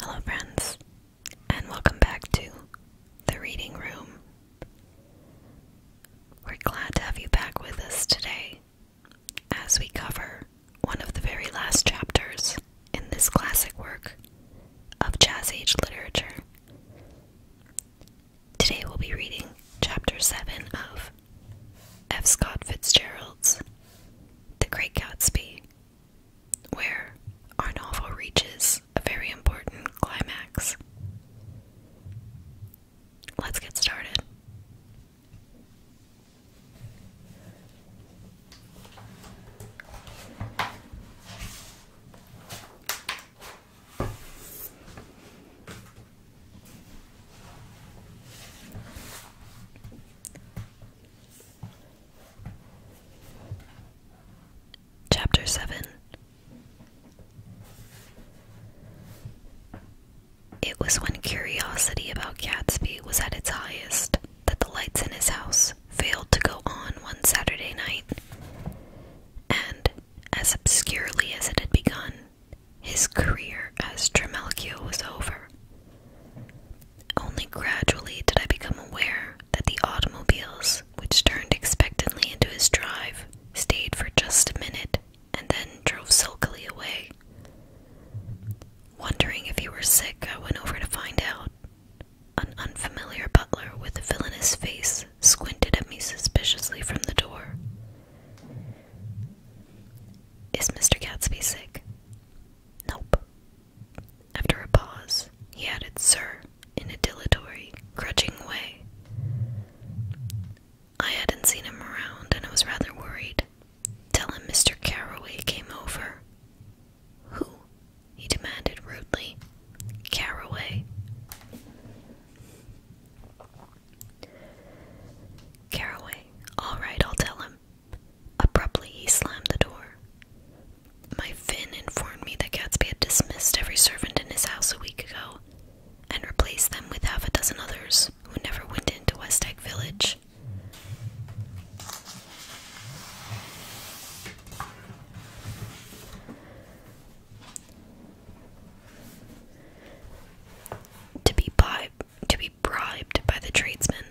Hello, friends, and welcome back to the reading room. We're glad to have you back with us today as we cover one of the very last chapters in this classic work of Jazz Age literature. Today we'll be reading Chapter 7 of F. Scott Fitzgerald's The Great Gatsby, where our novel reaches a very important climax. Let's get started. Chapter 7 It was when curiosity about Gatsby was at its highest that the lights in his house failed to go on one Saturday night, and, as obscurely as it had begun, his career as Trimalchio was over. Only gradually did I become aware that the automobiles, which turned expectantly into his drive, stayed for just a minute and then drove sulkily away. Wondering if he were sick, I went over to find out. An unfamiliar butler with a villainous face squinted at me suspiciously from the door. Is Mr. Gatsby sick? Nope. After a pause, he added, Sir, in a dilatory, grudging way. I hadn't seen him around and I was rather worried. Tell him Mr. Carroway came over. Who? he demanded rudely. Carroway. Caraway, all right, I'll tell him. Abruptly, he slammed the door. My Finn informed me that Gatsby had dismissed every servant in his house a week ago and replaced them with half a dozen others who never went into West Egg Village to be bribed by the tradesmen,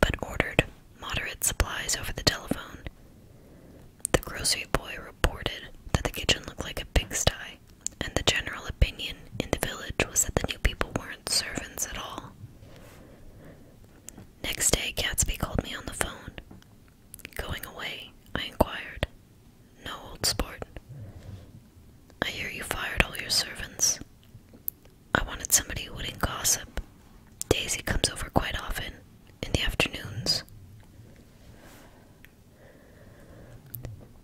but ordered moderate supplies over the telephone. The grocery boy reported that the kitchen looked like a pigsty, and the general opinion in the village was that the new people weren't servants at all. Next day, Catsby called me on the phone. Going away, I inquired. No, old sport. I hear you fired all your servants. I wanted somebody who wouldn't gossip. Daisy comes over quite often, in the afternoons.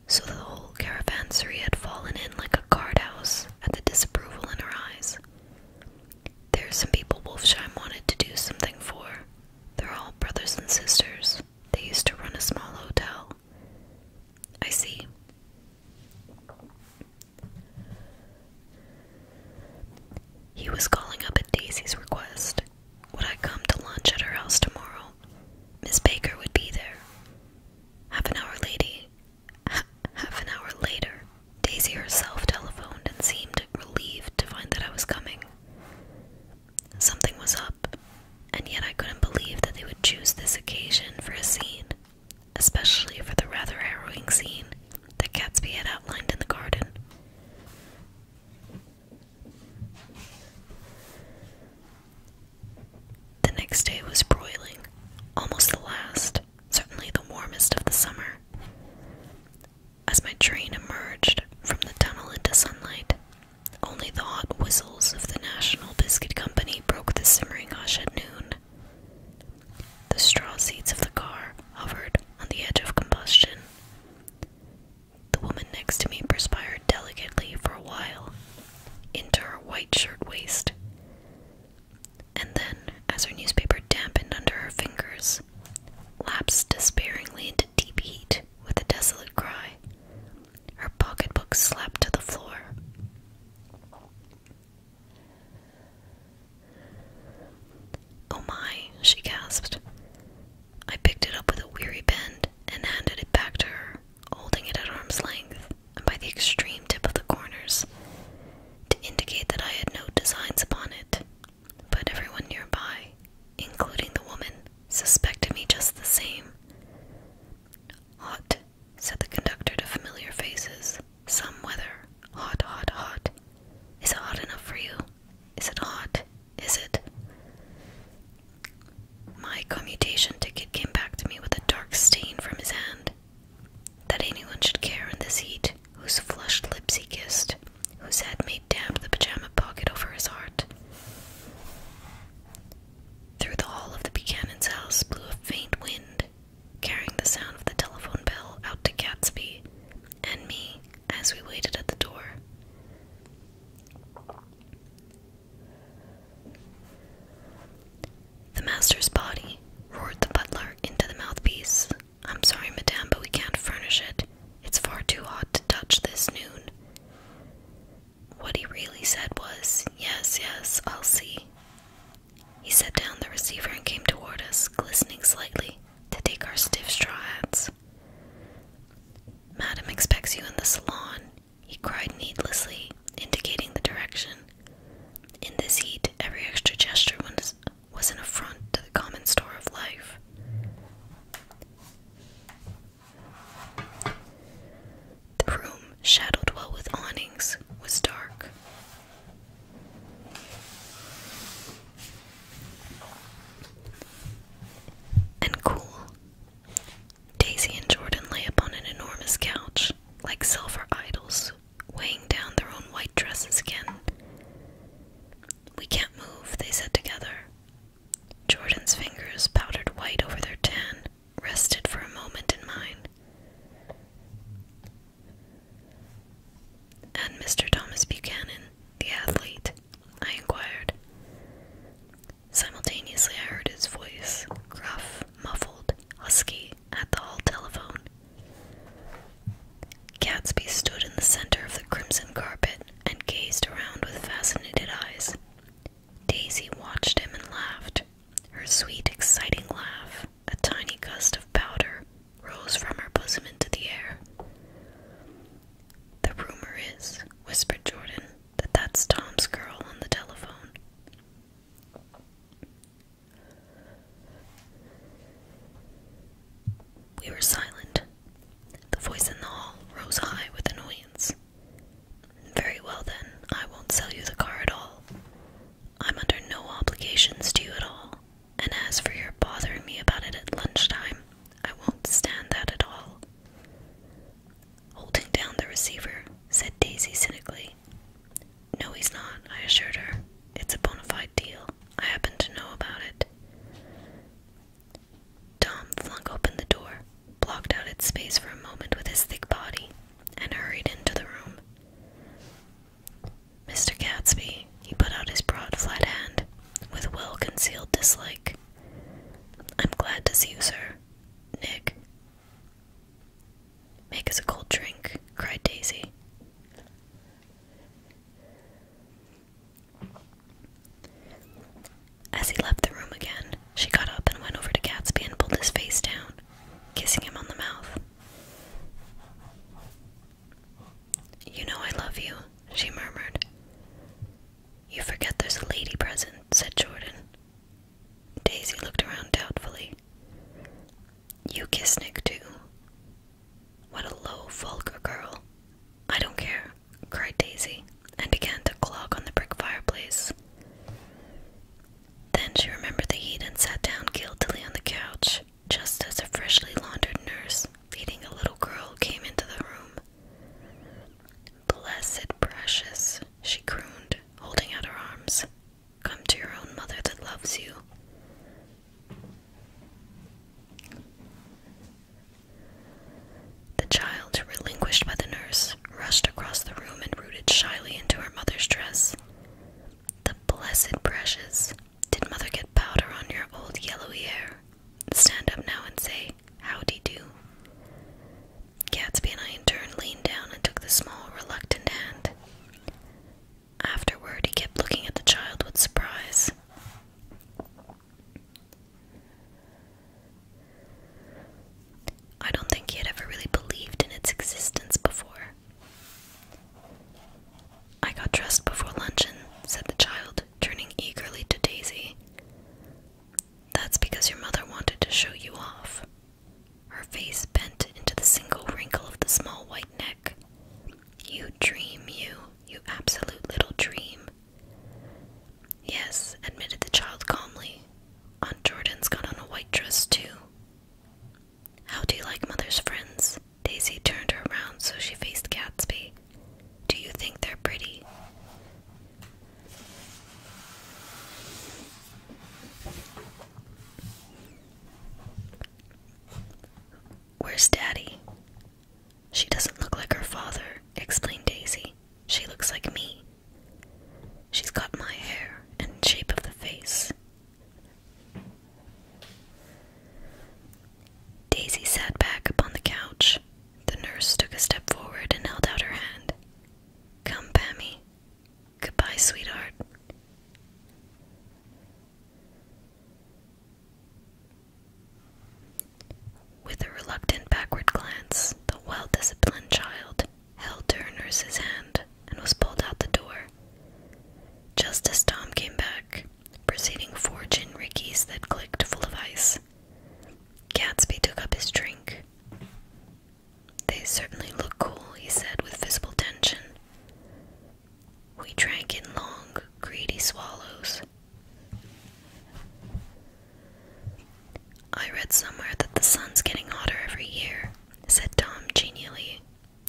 So the whole caravansary had fallen in like a card house at the disapproval in her eyes. There some people Wolfsheim wanted to do something for. They're all brothers and sisters. They used to run a small hotel. I see. He was calling up at Daisy's request. Would I come to lunch at her house tomorrow? Miss Baker would be there. Half an hour lady, half an hour later, Daisy herself telephoned and seemed relieved to find that I was coming. Something was up, and yet I couldn't believe that they would choose this occasion for a scene, especially for the rather harrowing scene that Gatsby had outlined in the garden. The next day was broiling, almost the last, certainly the warmest of the summer. As my train emerged from the tunnel into sunlight, only the hot whistles of the National Biscuit Company broke the simmering hush at noon. The straw seats of the car hovered on the edge of combustion. The woman next to me perspired delicately for a while into her white shirt waist. And then, as her newspaper dampened under her fingers, lapsed despairingly deep heat with a desolate cry. Her pocketbook slapped to the floor. Oh my, she gasped. I picked it up with a weary bend and handed it back to her, holding it at arm's length and by the extreme tip of the corners to indicate that I had no designs upon it. But everyone nearby, including the woman, suspected me just the same. Hot, said the conductor to familiar faces. Some weather. Hot, hot, hot. Is it hot enough for you? Is it hot? Is it? My commutation ticket came back to me with a dark stain from his hand. That anyone should care in this heat, whose flushed lips he kissed, whose head made damp the pajama pocket over his heart. Through the hall of the Buchanan's house blew a faint wind, carrying the sound of the telephone bell out to Gatsby and me as we waited at the door. The master's body, roared the butler into the mouthpiece. I'm sorry, madame, but we can't furnish it. It's far too hot to touch this noon. What he really said was, Yes, yes, I'll see. He set down the receiver and came toward us, glistening slightly, to take our stiff straw hats. Madam expects you in the salon, he cried needlessly, indicating the direction. In this heat, every extra gesture was, was an affront to the common store of life. The room, shadowed well with awnings, was dark. And cool. Daisy and Jordan lay upon an enormous couch, like silver idols, weighing down their own white dresses again. We can't move, they said together. Jordan's fingers, powdered white over their tan, rested for a moment in mine. And Mr. Thomas Buchanan, the athlete, I inquired. Simultaneously, I heard his voice, gruff, muffled, husky, at the hall telephone. Gatsby stood in the center of the crimson carpet and gazed around with fascinated eyes. Daisy watched him and laughed. Her sweet, exciting laugh, a tiny gust of powder, rose from her bosom into the air. The rumor is, whispered Jordan, that that's Tom's girl on the telephone. We were silent. The voice in the hall rose high with annoyance. Very well then, I won't sell you the car at all. I'm under no obligations to you at all, and as for your bothering me about it at lunchtime, I won't stand that at all. Holding down the receiver, said Daisy cynically. No, he's not, I assured her. It's a bona fide deal. I happen to know about it. Tom flung open the door, blocked out its space for a moment with his thick body, and hurried into the room. Mr. Gatsby, he put out his broad, flat hand, with well concealed dislike. I'm glad to see you, sir. Nick. Make us a cold drink, cried Daisy. As he left the room again, she got up and went over to Gatsby and pulled his face down, kissing him on the mouth. You know I love you, she murmured. You forget there's a lady present, said Jordan. Daisy looked around doubtfully. You kiss Nick, too. What a low, vulgar girl. I don't care cried Daisy, and began to clog on the brick fireplace. Then she remembered the heat and sat down guiltily on the couch, just as a freshly laundered nurse, leading a little girl, came into the room. Blessed precious, she crooned, holding out her arms. Come to your own mother that loves you. The child, relinquished by the nurse, rushed across the room and rooted shyly into her mother's dress. The blessed precious! Did mother get powder on your old yellowy hair? Stand up now and say, Howdy do. Gatsby and I in turn leaned down and took the small, reluctant hand. Afterward, he kept looking at the child with surprise. I don't think he had ever really believed in its existence before. I got dressed before luncheon, said the child, turning eagerly to Daisy. That's because your mother wanted to show you off. Her face bent into the single wrinkle of the small white neck. You dream, you, you absolute little dream. Yes, admitted the child calmly. Aunt Jordan's got on a white dress, too. How do you like Mother's friends? Daisy turned her around so she faced Gatsby. Do you think they're pretty? Where's Daddy? She doesn't look like her father, explained Daisy. She looks like me. She's got my hair and shape of the face. Daisy sat back upon the couch. The nurse took a step forward and held out her hand. Come, Pammy. Goodbye, sweetheart. With a reluctant backward glance, the well disciplined child held to her nurse's hand and was pulled out the door. Just as Tom came back, preceding four gin rickeys that clicked full of ice, Gatsby took up his drink. They certainly look cool, he said with visible tension. We drank in long, greedy swallows. I read somewhere that the sun's getting hotter every year, said Tom genially.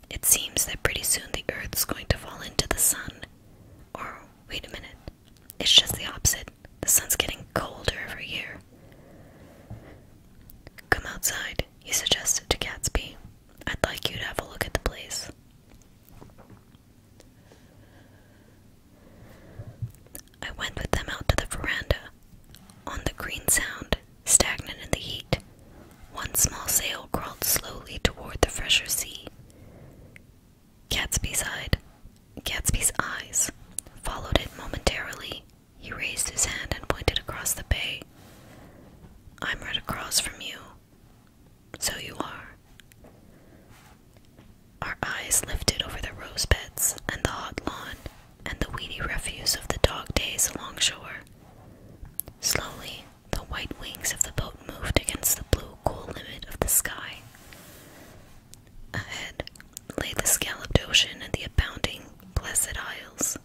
It seems that pretty soon the earth's going to fall into the sun. Or, wait a minute, it's just the opposite. The sun's getting colder every year. Come outside, he suggested to Gatsby. I'd like you to have a look at the place. I went with them out to the veranda. On the green sound, stagnant in the heat, one small sail crawled slowly toward the fresher sea. Gatsby's, eyed, Gatsby's eyes followed it momentarily. He raised his hand and pointed across the bay. I'm right across from you. So you are. Our eyes lifted over the rose beds and the hot lawn and the weedy refuse of the dog days along shore. Slowly, the white wings of the boat moved against the blue, cool limit of the sky. Ahead lay the scalloped ocean and the abounding, blessed isles.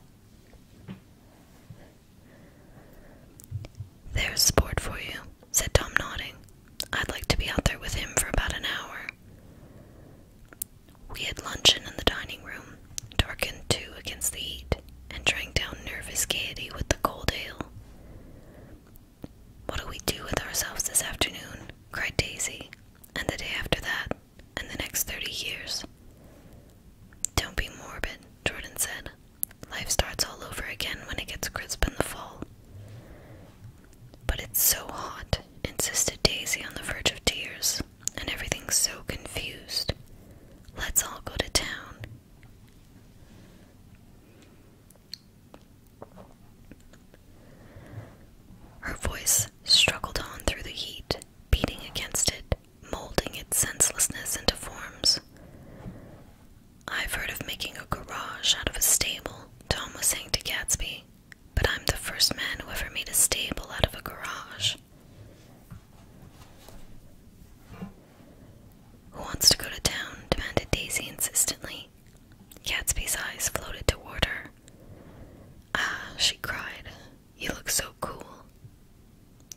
There's sport for you, said Tom, nodding. I'd like to be out there with him for about an hour. We had luncheon in the dining room, darkened too against the heat, and drank down nervous gaiety with the cold ale. What'll we do with ourselves this afternoon? cried Daisy, and the day after that, and the next thirty years. Don't be morbid, Jordan said. Life starts all over again when it gets crisp in the fall. But it's so hot, insisted Daisy on the verge of tears, and everything's so confused. Let's all go to town. Her voice struggled on through the heat, beating against it, molding its senselessness into forms. I've heard of making a garage out of a stable, Tom was saying to Gatsby, but I'm the first man who ever made a stable out of a garage. Who wants to go to town? demanded Daisy insistently. Gatsby's eyes floated toward her. Ah, she cried, you look so cool.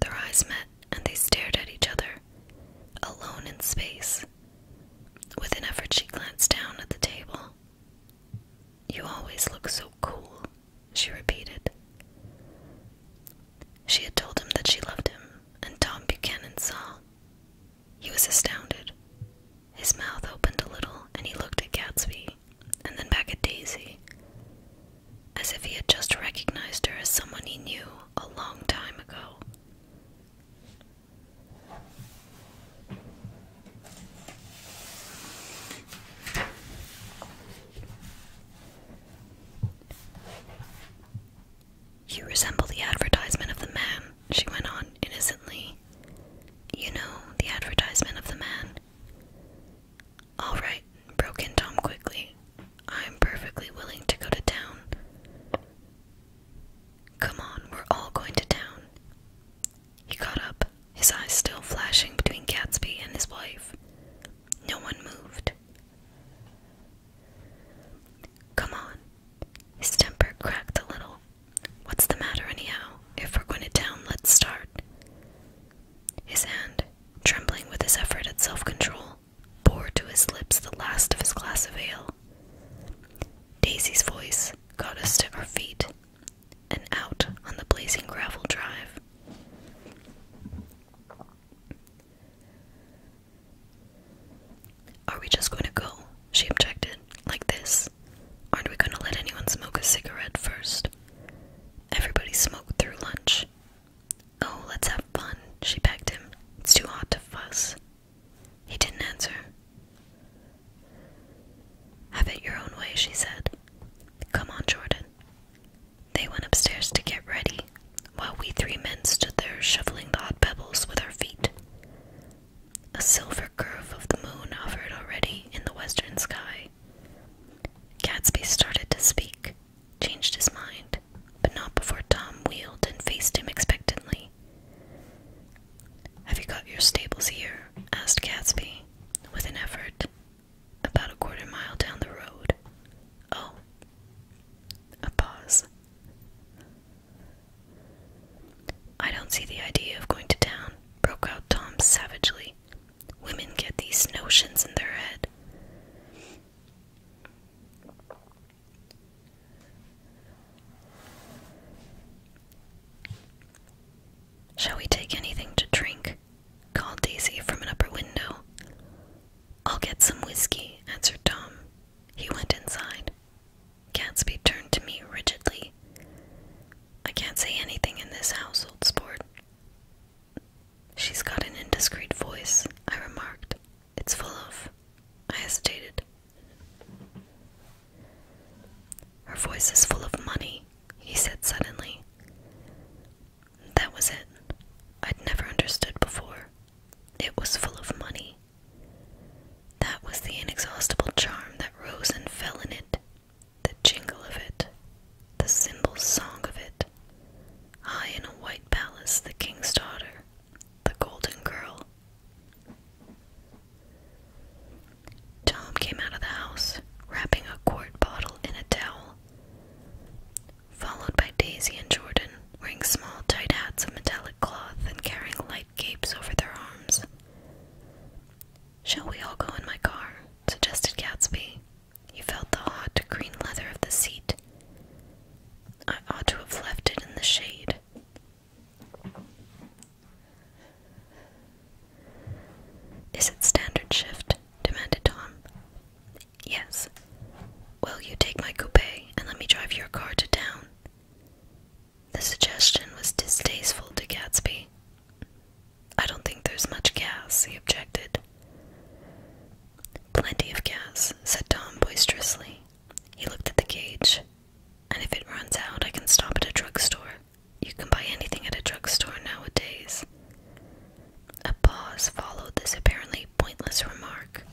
Their eyes met and they stared at each other, alone in space. With an effort, she glanced down at the table. You always look so cool, she repeated. She had told him that she loved him, and Tom Buchanan saw. He was astounded. His mouth opened a little, and he looked at Gatsby, and then back at Daisy, as if he had just recognized her as someone he knew a long time ago. You resemble the advertisement of the man, she went on innocently. You know, the advertisement of the man. All right, broke in Tom quickly. I'm perfectly willing to go to town. Come on, we're all going to town. He got up, his eyes still flashing between Gatsby and his wife. No one moved. Come on. His temper cracked a little. What's the matter, anyhow? If we're going to town, let's start. His hand, trembling with his effort at self control, bore to his lips the last of his glass of ale. Daisy's voice got us to our feet and out on the blazing gravel drive. Are we just going to go? She objected, like this. Aren't we going to let anyone smoke a cigarette first? Everybody smoked through lunch. Oh, let's have fun, she begged him. It's too hot to fuss. He didn't answer. Have it your own way, she said. Come on, Jordan. They went upstairs to get ready, while we three men stood there shoveling the hot pebbles with our feet. A silver curve of the moon hovered already in the western sky. Gadsby started to speak, changed his mind, but not before Tom wheeled and faced him expectantly. Have you got your stables here? asked Gatsby, with an effort, about a quarter mile down the road. Oh. A pause. I don't see the idea of going to town, broke out Tom savagely. Women get these notions in their head. Shall we take anything to drink? called Daisy from an upper window. I'll get some whiskey, answered Tom. He went inside. Gatsby turned to me rigidly. I can't say anything in this household sport. She's got an indiscreet voice, I remarked. It's full of. I hesitated. Her voice is full of money, he said suddenly. That was it. I'd never understood before. It was full of money. That was the inexhaustible charm that rose and fell in it, the jingle of it, the cymbal song of it. High in a white palace, the king's daughter, the golden girl. Tom came out of the house, wrapping a quart bottle in a towel, followed by Daisy and Jordan, wearing small, tight hats of metallic cloth and carrying light capes over their arms. Shall we all go in my car? suggested Gatsby. He felt the hot green leather of the seat. I ought to have left it in the shade, is it standard shift? demanded Tom. Yes. Well, you take my coupe and let me drive your car to town? The suggestion was distasteful to Gatsby. I don't think there's much gas, he objected. Plenty of gas, said Tom boisterously. He looked at the gauge. And if it runs out, I can stop at a drugstore. You can buy anything at a drugstore nowadays. A pause followed this apparently pointless remark.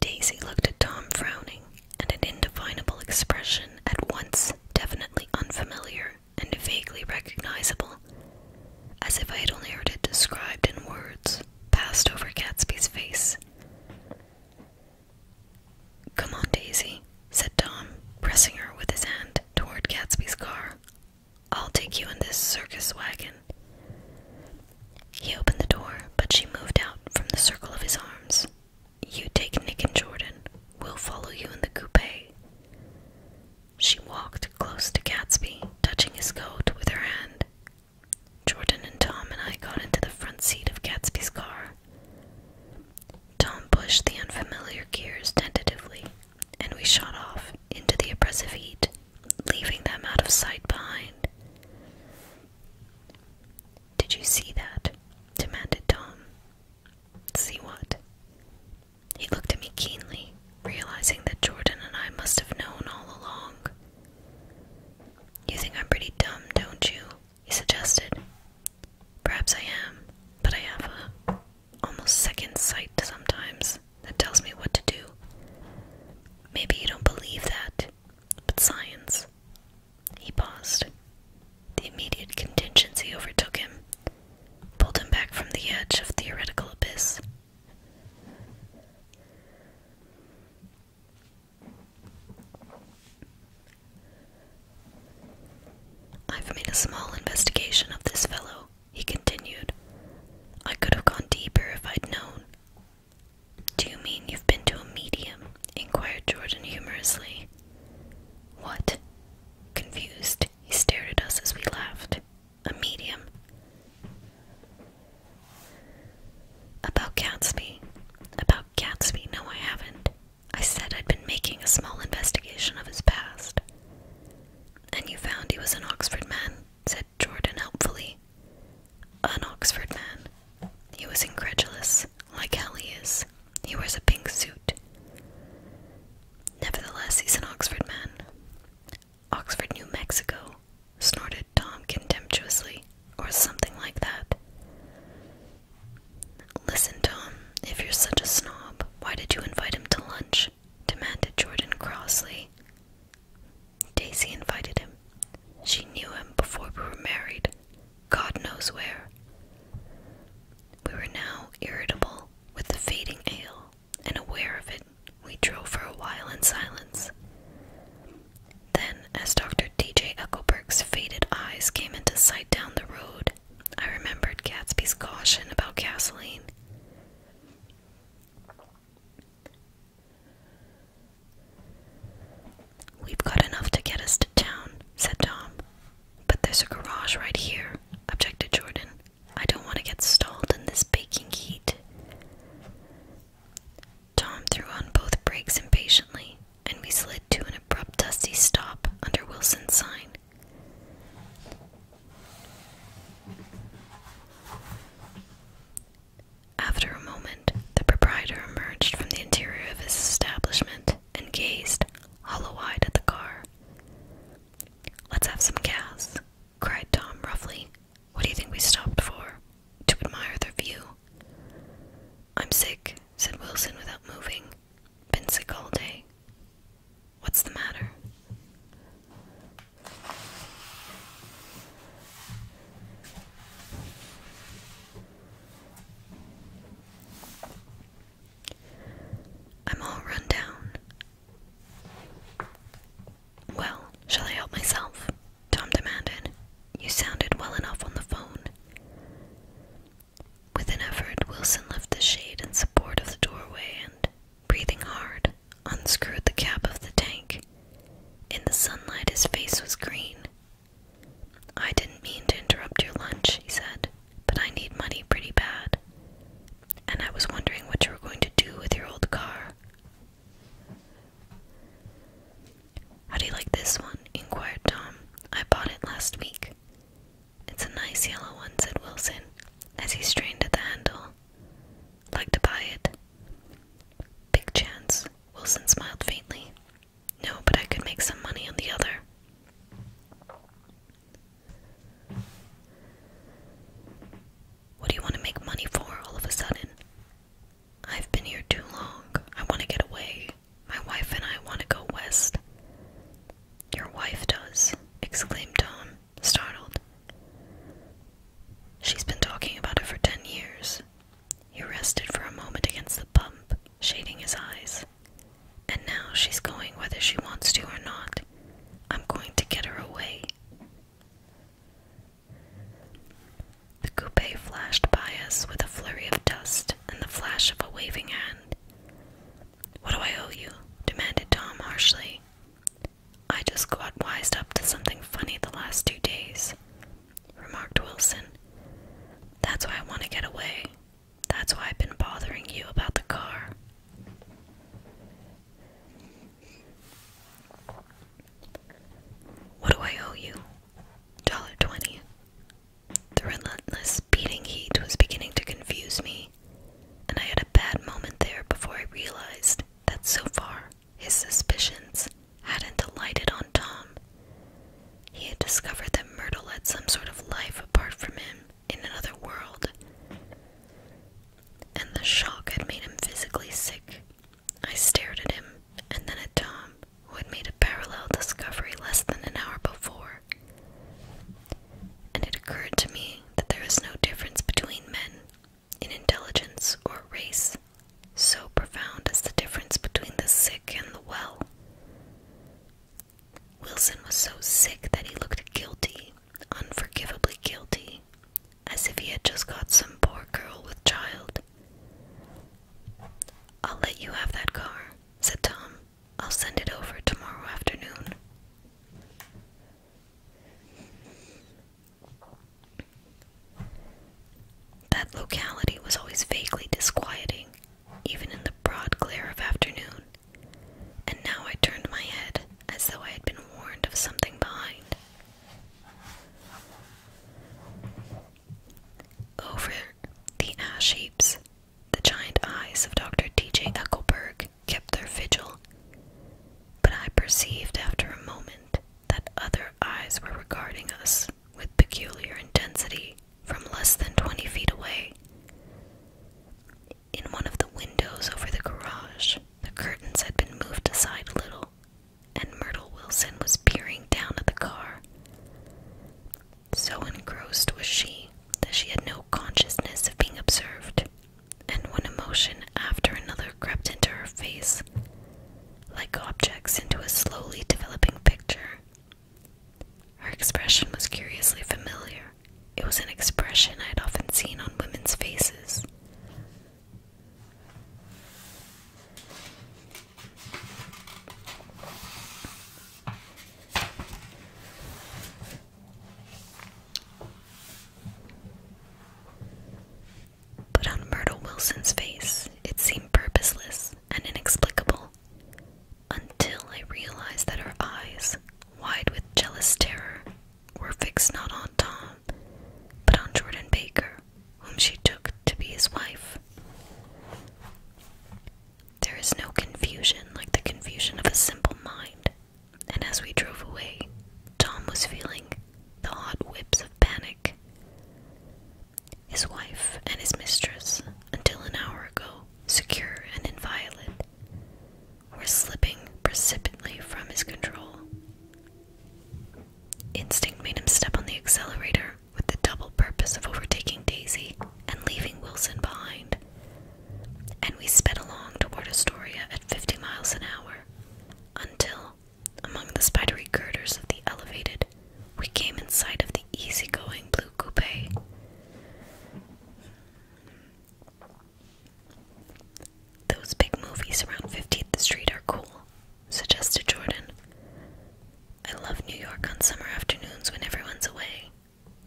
Daisy looked at Tom frowning, and an indefinable expression, at once definitely unfamiliar and vaguely recognizable, as if I had only heard it described in words, passed over Gatsby's face. Come on, Daisy, said Tom, pressing her with his hand toward Gatsby's car. I'll take you in this circus wagon. He opened the door, but she moved out from the circle of his arms. You take Nick and Jordan. We'll follow you in the coupe, she walked close to Gatsby, touching his coat with her hand. Jordan and Tom and I got into the front seat of Gatsby's car. Tom pushed the unfamiliar gears tentatively, and we shot off into the oppressive heat, leaving them out of sight behind. Did you see that? demanded Tom. See what? He looked at me keenly, realizing that Jordan and I must have known all along. You think I'm pretty dumb, don't you? He suggested. Perhaps I am, but I have a almost second sight sometimes that tells me what to do. Maybe you don't believe that, but science. He paused. The immediate contingency overtook him, pulled him back from the edge of theoretical abyss. I've made a small investigation of this fellow, he continued. I could have gone deeper if I'd known. Do you mean you've been to a medium? inquired Jordan humorously. What? Confused, he stared at us as we laughed. A medium. About Gatsby. About Gatsby, no, I haven't. I said I'd been making a small investigation of his past. And you found he was an Oxford man, said Jordan helpfully. An Oxford man. He was incredulous, like hell he is. He wears a pink suit Nevertheless, he's an Oxford man. Oxford, New Mexico, snorted Tom contemptuously, or something like that. Listen, Tom, if you're such a snob, why did you invite him to lunch? demanded Jordan crossly. Daisy invited him. She knew him before we were married. God knows where. We were now irritable with the fading ale, and aware of it, we drove for a while in silence. Then, as Dr. D.J. Eckelberg's faded eyes came into sight down the road, I remembered Gatsby's caution about gasoline. We've got enough to get us to town, said Tom. But there's a garage right here, objected Jordan. I don't want to get stalled in this baking heat. Tom threw on both brakes impatiently, and we slid to an abrupt dusty stop under Wilson's sign. After a moment, the proprietor emerged from the interior of his establishment and gazed, hollow eyed, at the car. Let's have some gas, cried Tom roughly. What do you think we stopped for? To admire the view. I'm sick, said Wilson without moving. Been sick all day. What's the matter? I'm all run down. Well, shall I help myself? Tom demanded. You sounded well enough on the phone. With an effort, Wilson left the shade in support of the doorway and, breathing hard, unscrewed the cap of the tank. In the sunlight, his face was green. I didn't mean to interrupt your lunch, he said but I need money pretty bad. And I was wondering what you were going to do with your old car. How do you like this one? inquired Tom. I bought it last week. It's a nice yellow one, said Wilson, as he strained at the handle. Like to buy it? Big chance. Wilson smiled faintly. No, but I could make some money on the other. What do you want to make money for all of a sudden? I've been here too long. I want to get away. My wife and I want to go west. Your wife does, exclaimed Tom, startled. She's been talking about it for ten years. He rested for a moment against the pump, shading his eyes. And now she's going whether she wants to or not. I'm going to get her away. The coupe flashed by us with a flurry of dust and the flash of a waving hand. What do I owe you? demanded Tom harshly. I just got wised up to something funny the last two days, remarked Wilson. That's why I want to get away. That's why I've been bothering you about the car. What do I owe you? Dollar twenty. The relentless beating heat was beginning to confuse me, and I had a bad moment there before I realized that so far his suspicions hadn't alighted on Tom. He had discovered that Myrtle had some sort of life apart from him, in another world. And the shock had made him physically sick. I stared at him, and then at Tom, who had made a parallel discovery less than an hour before. And it occurred to me that there is no difference between men in intelligence or race, so profound as the difference between the sick and the well. Wilson was so sick that he looked guilty, unforgivably guilty, as if he had just got some poor girl with child. I'll let you have that car, said Tom. I'll send it over tomorrow afternoon. That locality was always vaguely disquieting, even in the broad glare of afternoon and now I turned my head as though I had been warned of something behind. Over the ash heaps, the giant eyes of Dr. D. J. Eckelberg kept their vigil, but I perceived after a moment that other eyes were regarding us with peculiar intensity from less than twenty feet away in one of the windows over the garage. The curtains had been moved aside a little, and Myrtle Wilson was peering down at the car. So engrossed was she that she had no consciousness of being observed, and one emotion after another crept into her face, like objects into a slowly developing picture. Her expression was curiously familiar. It was an expression I had often seen on women's faces. But on Myrtle Wilson's face, it seemed purposeless and inexplicable until I realized that her eyes, wide with jealous terror, were fixed not on Tom, but on Jordan Baker, whom she took to be his wife. There is no confusion like the confusion of a simple mind, and as we drove away, Tom was feeling the hot whips of panic. His wife and his mistress, until an hour ago, secure and inviolate, or slipping precipitately from his control. Instinct made him step on the accelerator with the double purpose of overtaking Daisy and leaving Wilson behind. And we sped along toward Astoria at 50 miles an hour until, among the spidery girders of the elevated, we came in sight of the easygoing blue coupe. Those big movies around 15th Street are cool, suggested Jordan. I love New York on summer afternoons when everyone's away.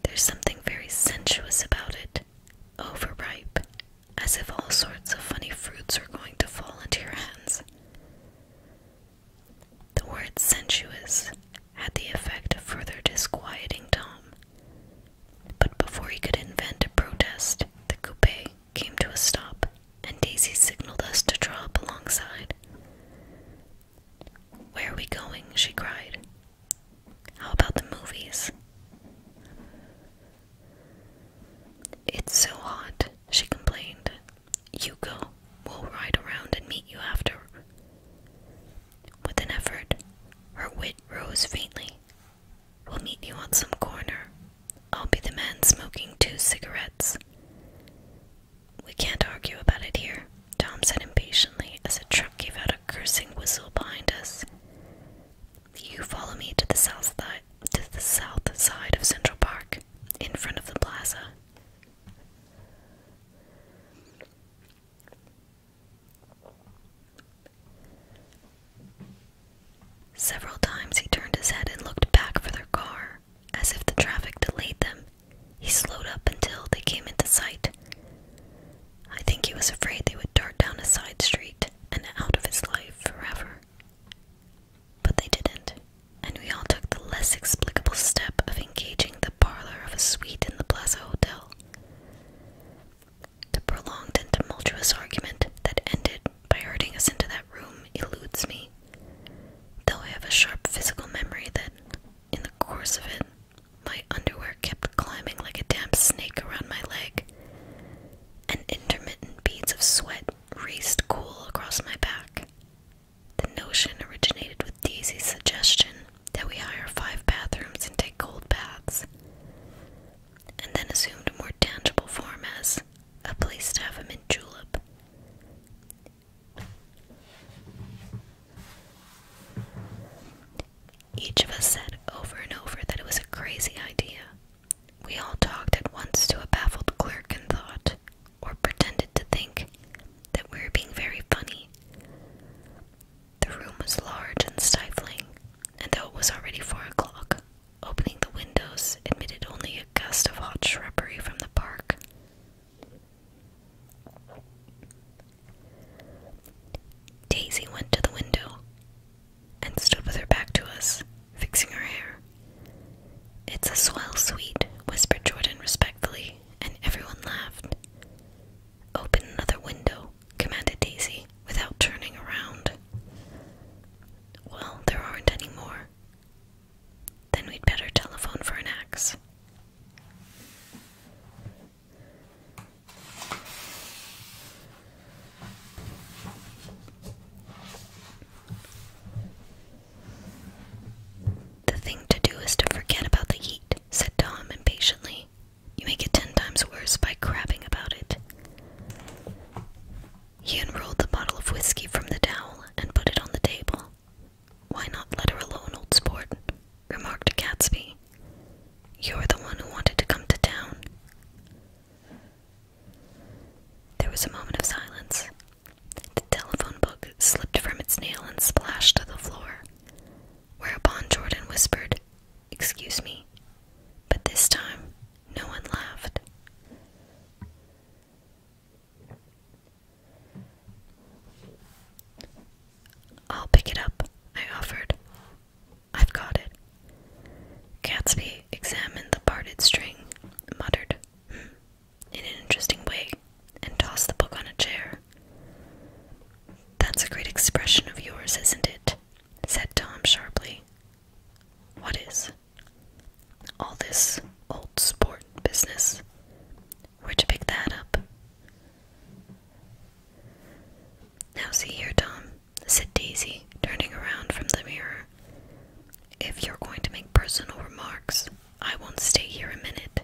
There's something very sensuous about it, overripe, as if all sorts of funny fruits are going to fall into your hands. The word sensuous had the effect of further disquieting Tom. But before he could invent a protest, the coupe came to a stop, and Daisy signaled us to draw up alongside. Where are we going? she cried. How about the movies? It's so hot, she complained. You go. We'll ride around and meet you after. With an effort, her wit rose faintly. We'll meet you on some corner. I'll be the man smoking two cigarettes. We can't argue about it here, Tom said impatiently as a truck gave out a cursing whistle behind us. You follow me to the south side to the south side of Central Park, in front of the plaza. Several times he turned his head and looked back for their car, as if the traffic delayed them. He slowed up until they came into sight. I think he was afraid they would dart down a side street and out of his life forever. But they didn't, and we all took the less explicable step of engaging the parlor of a suite in the Plaza Hotel. The prolonged and tumultuous argument that ended by herding us into that room eludes me, though I have a sharp physical memory that, in the course of it, my underwear kept climbing like a damp snake around my leg, and intermittent beads of sweat raced cool across my back. The notion originated with Daisy's suggestion that we hire five bathrooms and take cold baths, and then assumed a more tangible form as a place to have a mint julep. Each of us said over and over that it was a crazy idea. We all talked at once to a baffled clerk and thought, or pretended to think, that we were being very funny. The room was large and stifling, and though it was already four o'clock, opening the windows admitted only a gust of hot shrubbery from the park. Daisy went to the window and stood with her back to us, fixing her hair. It's a swell suite, whispered Jordan respectfully, and everyone laughed. Open another window, commanded Daisy, without turning around. Well, there aren't any more. Then we'd better telephone for an axe. The thing to do is to forget about the heat, said Tom impatiently. You make it ten times worse by crabbing about it. He unrolled the bottle of whiskey from the dowel and put it on the table. Why not let her alone, old sport? remarked Gatsby. You're the one who wanted to come to town. There was a moment of silence. The telephone book slipped from its nail and splashed to the floor. Whereupon Jordan whispered, Excuse me. But this time, no one laughed. I'll pick it up, I offered. I've got it. Gatsby examined the parted string, muttered, hmm, in an interesting way, and tossed the book on a chair. That's a great expression of yours, isn't it? said Tom sharply. What is? All this old sport business. Where'd you pick that up? Now, see here, Tom, said Daisy, turning around from the mirror. If you're going to make personal remarks, I won't stay here a minute.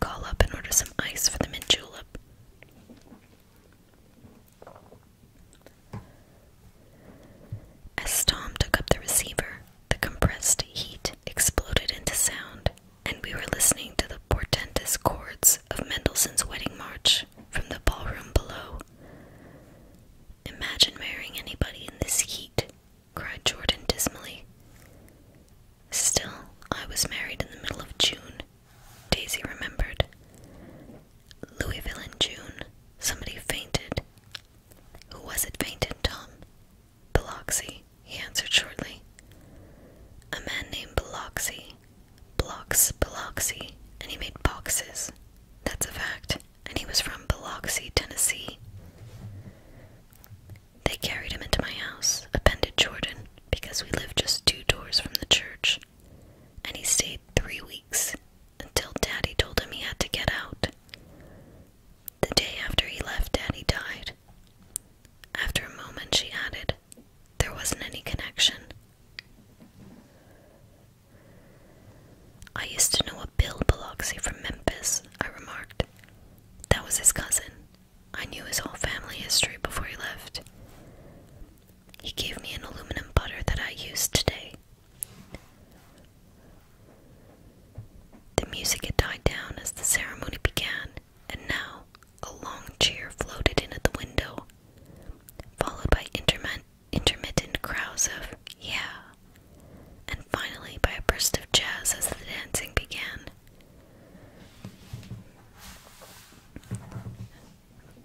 Call up and order some ice for the mint julep. As Tom took up the receiver, the compressed heat exploded into sound, and we were listening to the portentous chords of Mendelssohn's Wedding March from the ballroom below. Imagine marrying anybody in this heat, cried Jordan dismally. Still, I was married in the middle of June, Daisy remembered. Louisville in June, somebody fainted. Who was it fainted, Tom? Biloxi, he answered shortly. A man named Biloxi. Blocks Biloxi, and he made boxes. That's a fact, and he was from Biloxi, Tennessee. They carried him into my house, appended Jordan, because we lived just two doors from the church, and he stayed three weeks until Daddy told him he had to get out. The day after he left, Daddy died. After a moment, she added, There wasn't any connection. I used to know a Bill Biloxi from Memphis, I remarked. That was his cousin. I knew his whole family history before he left. He gave me an aluminum butter that I used today. The music had died down as the ceremony began, and now a long cheer floated in at the window, followed by intermittent crowds of, yeah, and finally by a burst of jazz as the dancing began.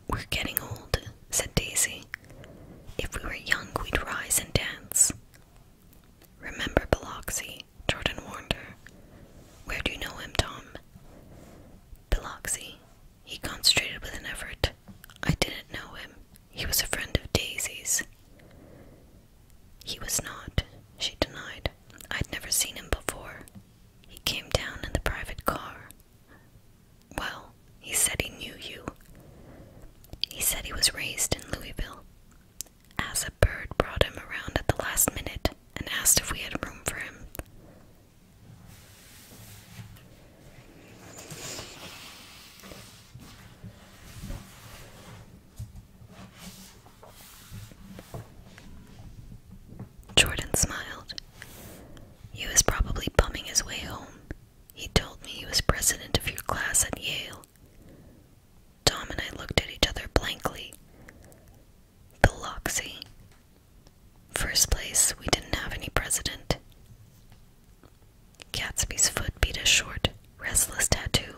We're getting old, said Daisy. If we were young, we'd rise and dance. Remember Biloxi, Jordan warned her. Where do you know him, Tom? Biloxi. He concentrated with an effort. I didn't know him. He was a friend of Daisy's. He was not, she denied. I'd never seen him before. He came down in the private car. Well, he said he knew you. He said he was raised in Louisville. As a bird brought him around at the last minute and asked if we had room for him. Jordan smiled. He was probably bumming his way home. He told me he was president of your class at Yale. Tom and I looked at each other blankly. The Loxy. First place, we didn't have any president. Gatsby's foot beat a short, restless tattoo,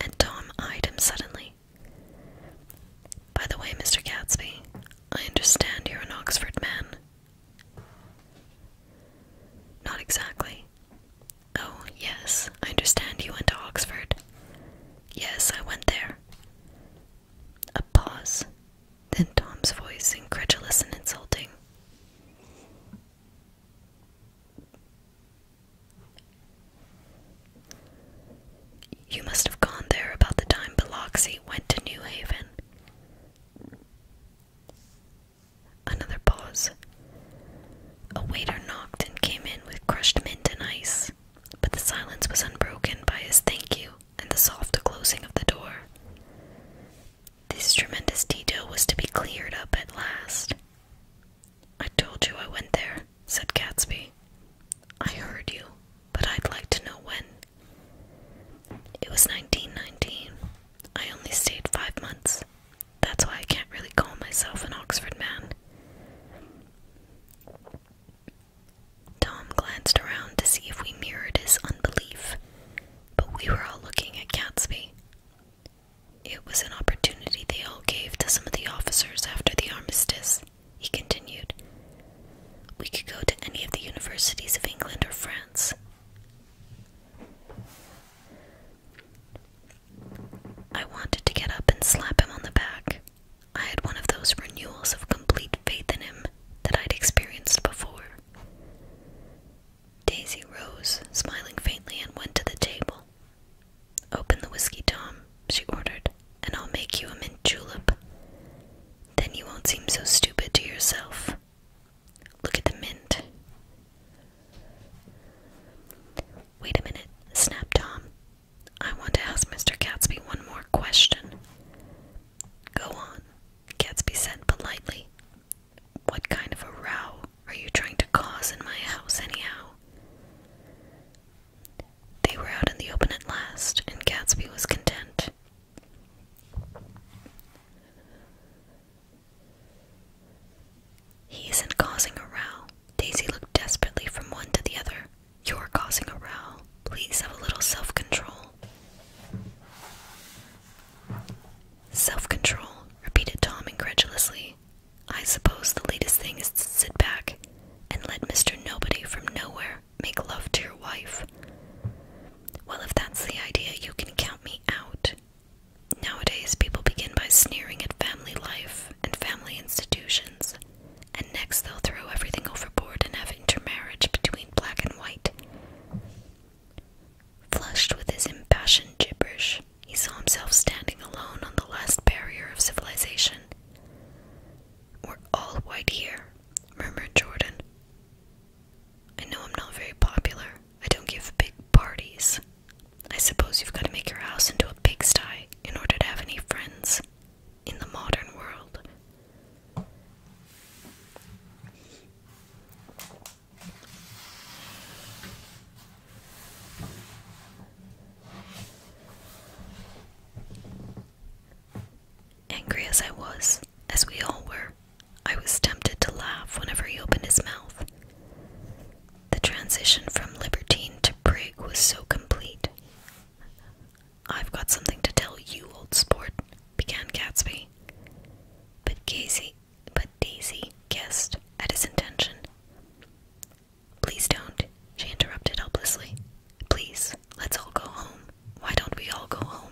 and Tom eyed him suddenly. By the way, Mr. Gatsby, I understand you're an Oxford man. Not exactly. Oh, yes, I understand you went to Oxford. Yes, I went there. A pause, then Tom's voice, incredulous and insulting. You must have gone there about the time Biloxi went to New Haven. Another pause. A waiter knocked and came in with crushed mint and ice, but the silence was unbroken by his thank you and the soft closing of the door. This tremendous detail was to be cleared up at last. I told you I went there, said Gatsby. I heard you, but I'd like to know when. It was 1919. I only stayed five months. That's why I can't really call myself an Oxford man. Tom glanced around to see if we mirrored his unbelief, but we were all looking at Gatsby. It was an opportunity they all gave to some of the officers after the armistice he continued. We could go to any of the universities of England or France. I wanted to get up and slap him on the back. I had one of those renewals of complete faith in him that I'd experienced before. Daisy rose, smiling faintly, and went to the table. Open the whiskey, Tom, she ordered, and I'll make you a mint julep. Then you won't seem so stupid to yourself. Look at the mint. Wait a minute, snapped Tom. I want to ask Mr. Gatsby one more question. Go on, Gatsby said politely. What kind of a row are you trying to cause in my house, anyhow? They were out in the open at last, and Gatsby was content. He isn't causing a row. Daisy looked desperately from one to the other. You're causing a row. Please have a little self control. Self control, repeated Tom incredulously. I suppose the latest thing is to sit back and let Mr. Nobody from Nowhere make love to your wife. Well, if that's the idea, you can count me out. Nowadays, people begin by sneering at family life and family institutions, and next they'll throw everything overboard and have intermarriage between black and white. Flushed with his impassioned gibberish, he saw himself standing alone on the last barrier of civilization we're all white here, murmured Jordan. I know I'm not very popular. I don't give big parties. I suppose you've got to make your house into a pigsty in order to have any friends in the modern world. Angry as I was, as we all were, I was tempted to laugh whenever he opened his mouth. The transition from libertine to prig was so complete. I've got something to tell you, old sport, began Gatsby. But Casey, but Daisy guessed at his intention. Please don't, she interrupted helplessly. Please, let's all go home. Why don't we all go home?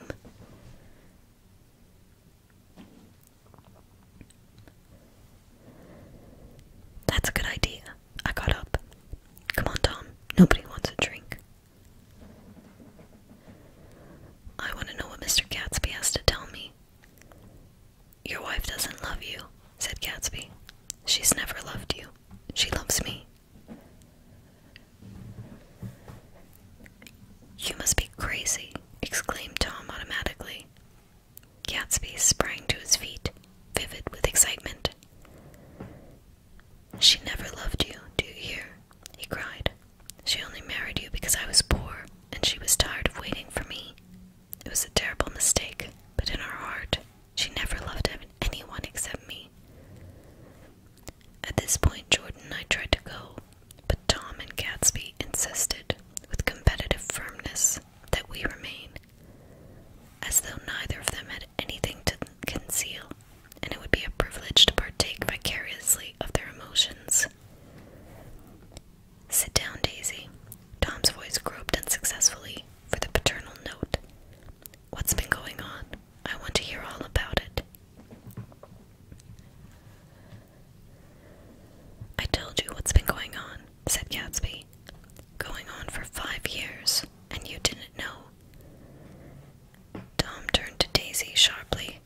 That's a good idea. I got up. Come on, Tom. Nobody wants a drink. I want to know what Mr. Gatsby has to tell me. Your wife doesn't love you, said Gatsby. She's never loved you. She loves me. You must be crazy, exclaimed Tom automatically. Gatsby sprang to his feet, vivid with excitement. She never loved you, do you hear? he cried. She only married you because I was poor, and she was tired of waiting for me, it was a terrible mistake, but in her heart, she never loved anyone except me. At this point, Jordan and I tried to go, but Tom and Gatsby insisted, with competitive firmness, that we remain, as though neither of them had anything to conceal, and it would be a privilege to partake vicariously of their emotions. Sit down, Daisy. Tom's voice groped unsuccessfully for the paternal note. What's been going on? I want to hear all about it. I told you what's been going on, said Gatsby. Going on for five years, and you didn't know. Tom turned to Daisy sharply.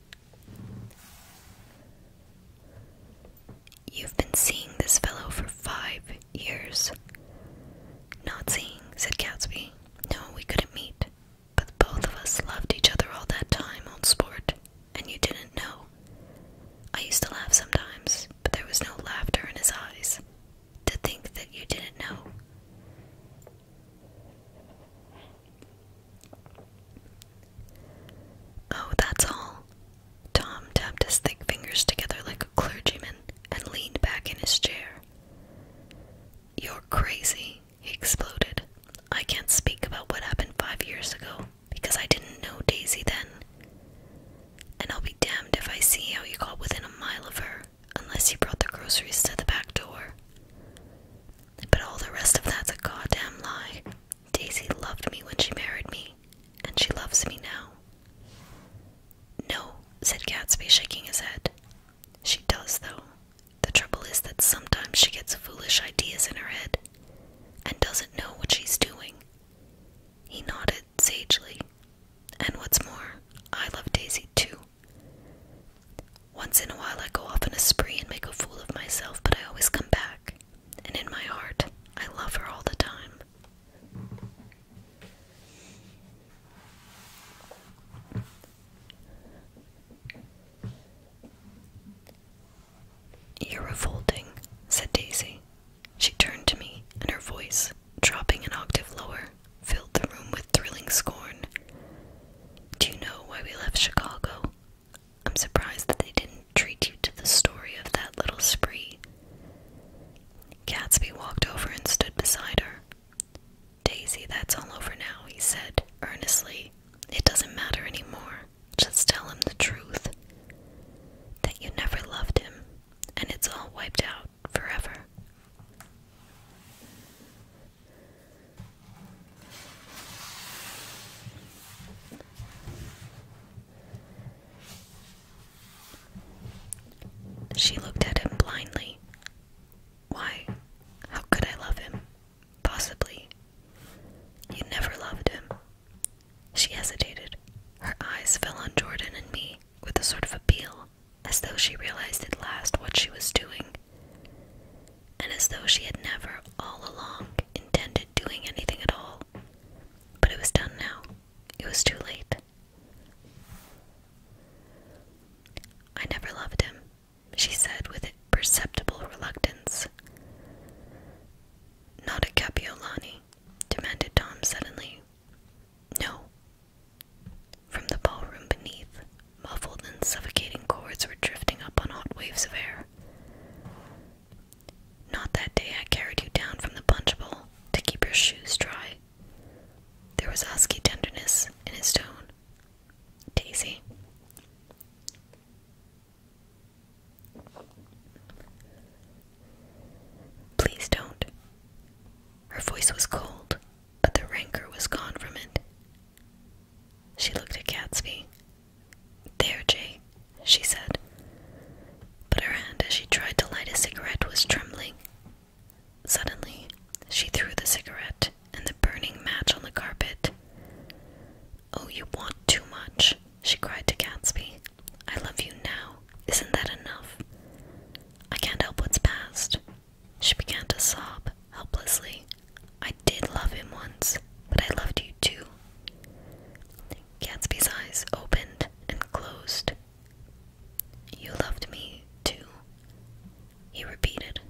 You've been seeing this fellow for five years. Not seeing, said Gatsby. No, we couldn't meet. But both of us loved each other all that time, on sport, and you didn't know. I used to laugh sometimes, but there was no laughter in his eyes. To think that you didn't know. Oh, that's all. Tom tapped his thick fingers together like a clergyman and leaned back in his chair. You're crazy, he exploded. I can't speak about what happened five years ago because I didn't know Daisy then. And I'll be damned if I see how you got within a mile of her unless you brought the groceries to the back door. But all the rest of that's a goddamn lie. Daisy loved me when she married me, and she loves me now. No, said Gatsby, shaking his head. She does, though. The trouble is that sometimes she gets foolish ideas in her head and doesn't know what she's doing. He nodded sagely. And what's more, I love Daisy too. Once in a while, I go off on a spree and make a fool of myself, but I always come back. And in my heart, I love her all the time. You're revolting, said Daisy. She turned to me, and her voice, dropping an octave lower, filled the room with thrilling scorn. Do you know why we left Chicago? I'm surprised that they didn't treat you to the story of that little spree. Gatsby walked over and stood beside her. Daisy, that's all over now, he said earnestly. It doesn't matter anymore. Just tell him the truth. That you never loved him, and it's all wiped out forever. She looked at him blindly. Why? How could I love him? Possibly. You never loved him. She hesitated. Her eyes fell on Jordan and me with a sort of appeal, as though she realized at last what she was doing, and as though she had never, all along, intended doing anything at all. But it was done now. It was too late. I never loved him, she said with perceptible reluctance. Not a Capiolani, demanded Tom suddenly. No. From the ballroom beneath, muffled and suffocating chords were drifting up on hot waves of air. Not that day I carried you down from the punch bowl, to keep your shoes dry. There was husky tenderness in his tone. Daisy. Please don't. Her voice was cold, but the rancor was gone from it. She looked at Gatsby. There, Jay, she said but her hand as she tried to light a cigarette was trembling. Suddenly, she threw the cigarette and the burning match on the carpet. Oh, you want too much, she cried to Gatsby. I love you now. Isn't that enough? I can't help what's past. She began to sob helplessly. I did love him once, but I loved you too. Gatsby's eyes opened and closed you loved me too, he repeated.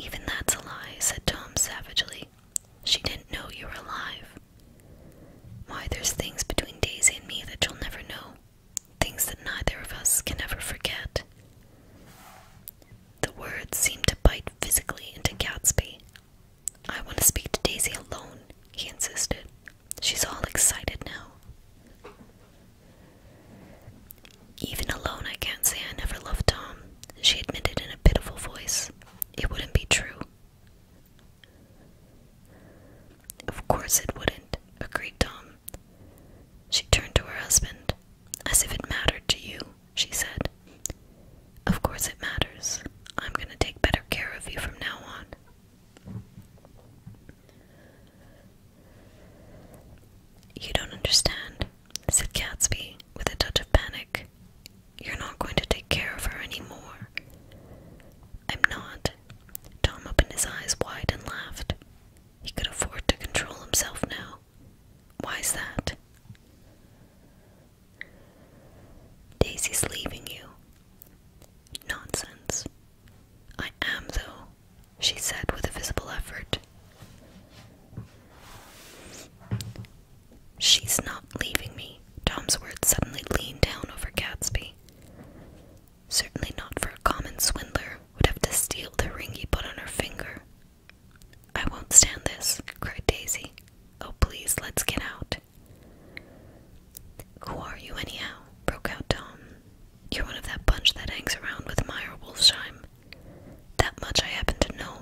Even that's a lie, said Tom savagely. She didn't know you were alive. Why, there's things between Daisy and me that you'll never know, things that neither of us can ever forget. The words seemed to bite physically into Gatsby, I want to speak to Daisy alone, he insisted. She's all excited now. Even alone, I can't say I never loved Tom, she admitted in a pitiful voice. It wouldn't be true. Of course it wouldn't, agreed Tom. She turned to her husband. As if it mattered to you, she said. Of course it matters. I'm going to take better care of you from now on. You don't understand, said Gatsby with a touch of panic. You're not going to take care of her anymore. I'm not. Tom opened his eyes wide and laughed. He could afford to control himself now. Why is that? Daisy's leaving you. Nonsense. I am, though, she said with a visible effort. She's not leaving me. Tom's words suddenly leaned down over Gatsby. Certainly not for a common swindler would have to steal the ring he put on her finger. I won't stand this, cried Daisy. Oh, please, let's get out. Who are you, anyhow? broke out Tom. You're one of that bunch that hangs around with Meyer Wolfsheim. That much I happen to know.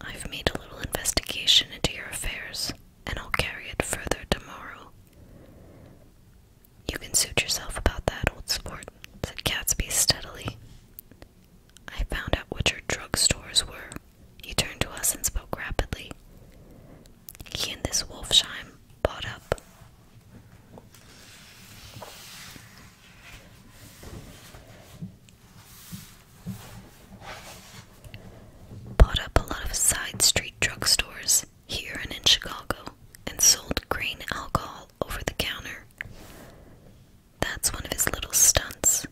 I've made a little investigation into your affairs, and I'll carry it further tomorrow. You can suit yourself about that, old sport, said Gatsby steadily. I found out what your drug stores were, he turned to us and spoke rapidly. He and this Wolfsheim bought up. Bought up a lot of side street drugstores here and in Chicago and sold grain alcohol over the counter. That's one of his little stunts.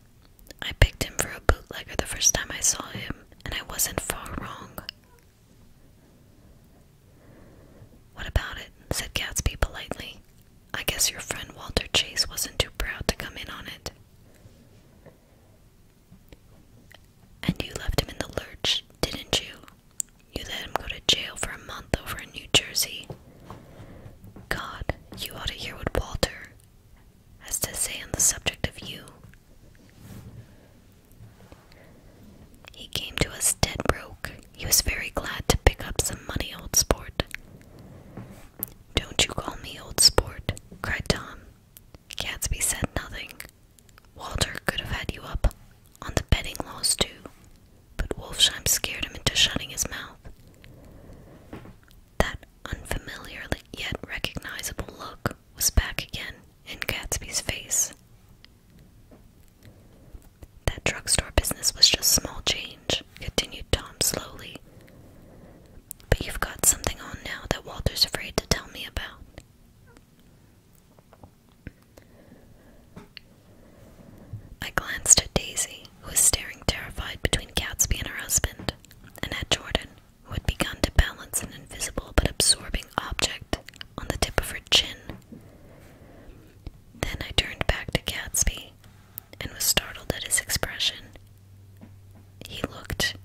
I picked him for a bootlegger the first time I saw him, and I wasn't far wrong. What about it? said Gatsby politely. I guess your friend Walter Chase wasn't too proud to come in on it. And you left him in the lurch, didn't you? You let him go to jail for a month over in New Jersey. God, you ought to hear what Walter, has to say on the subject of you. He came to us dead broke. He was very glad to pick up some money, old sport. Don't you call me old sport, cried Tom. Gadsby said nothing. Walter could have had you up on the betting laws, too, but Wolfsheim scared him into shutting his mouth. That unfamiliar yet recognizable look was back again in Gatsby's face. That drugstore business was just small change, continued Tom slowly. But you've got something on now that Walter's afraid to tell me about. I glanced at Daisy, who was staring terrified between Gatsby and her husband, and at Jordan, who begun to balance an invisible but absorbing object on the tip of her chin. Then I turned back to Gatsby and was startled at his expression. He looked,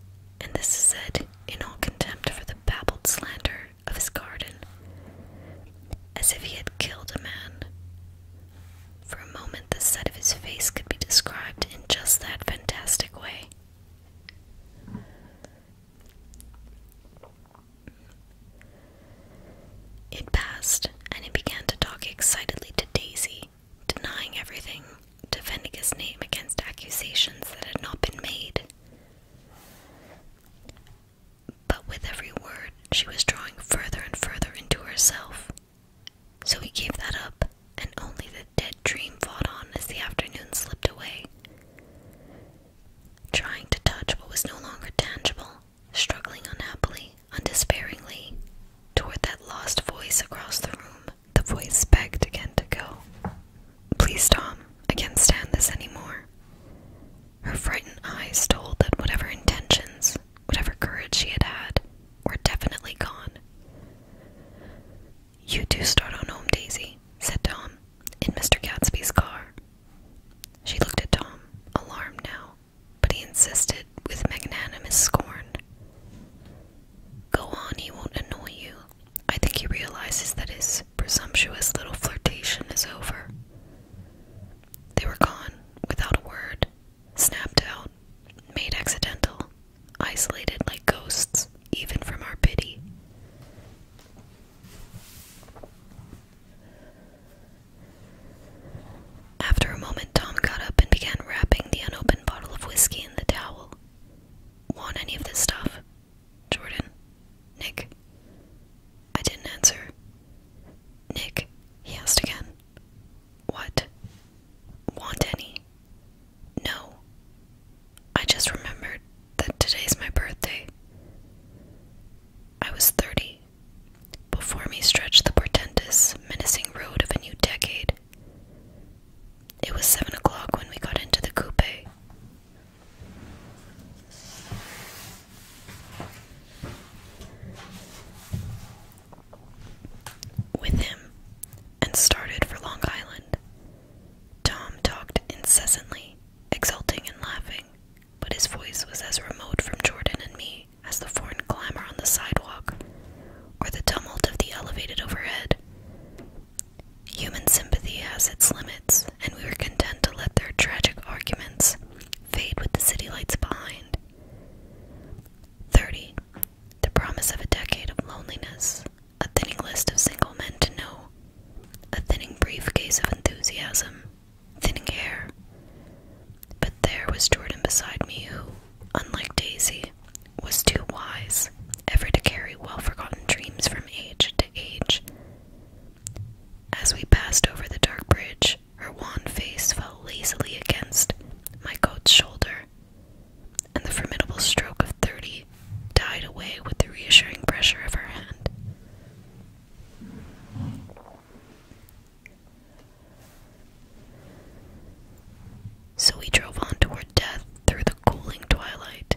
and this is said in all contempt for the babbled slander of his garden, as if he had killed a man. For a moment, the set of his face could be described in just that fantastic way. It passed, and he began to talk excitedly to Daisy, denying everything, defending his name against accusations that had not been made. But with every word, she was drawing further and further into herself, so he gave that up, and only the dead dream fought on as the afternoon slipped away. Trying to touch what was no longer tangible, struggling unhappily, undespairingly, toward that lost voice across the room, the voice begged again to go. Please, Tom, I can't stand this anymore. Her frightened eyes told that whatever intentions, whatever courage she had had, we're definitely gone. You do start on home, Daisy, said Tom, in Mr. Gatsby's car. She looked at Tom, alarmed now, but he insisted with magnanimous scorn. Go on, he won't annoy you. I think he realizes that his presumptuous little flirtation is over. They were gone, without a word, snapped out, made accidental, isolated like ghosts, even from our pity. After a moment, Tom got up and began wrapping the unopened bottle of whiskey in the towel. Want any of this stuff? Jordan. Nick. I didn't answer. Nick, he asked again. What? Want any? No. I just remembered that today's my birthday. I was 30. Before me stretched the portentous, menacing road of a new decade. It was seven o'clock when we got into the coupe. With him, and started for Long Island. Tom talked incessantly, exulting and laughing, but his voice was as remote from Jordan and me as the foreign clamor on the sidewalk or the tumult of the elevated overhead. Human sympathy has its limits, and we were content to let their tragic arguments fade with the city lights behind. 30. The promise of a decade of loneliness, a thinning list of single men to know, a thinning briefcase of enthusiasm, thinning hair. But there was Jordan beside me, who, unlike Daisy, was too wise ever to carry well forgotten dreams from age to age. As we passed over the dark bridge, her wan face fell lazily against my coat's shoulder, and the formidable stroke of thirty died away with the reassuring pressure of her hand. So we drove on toward death through the cooling twilight.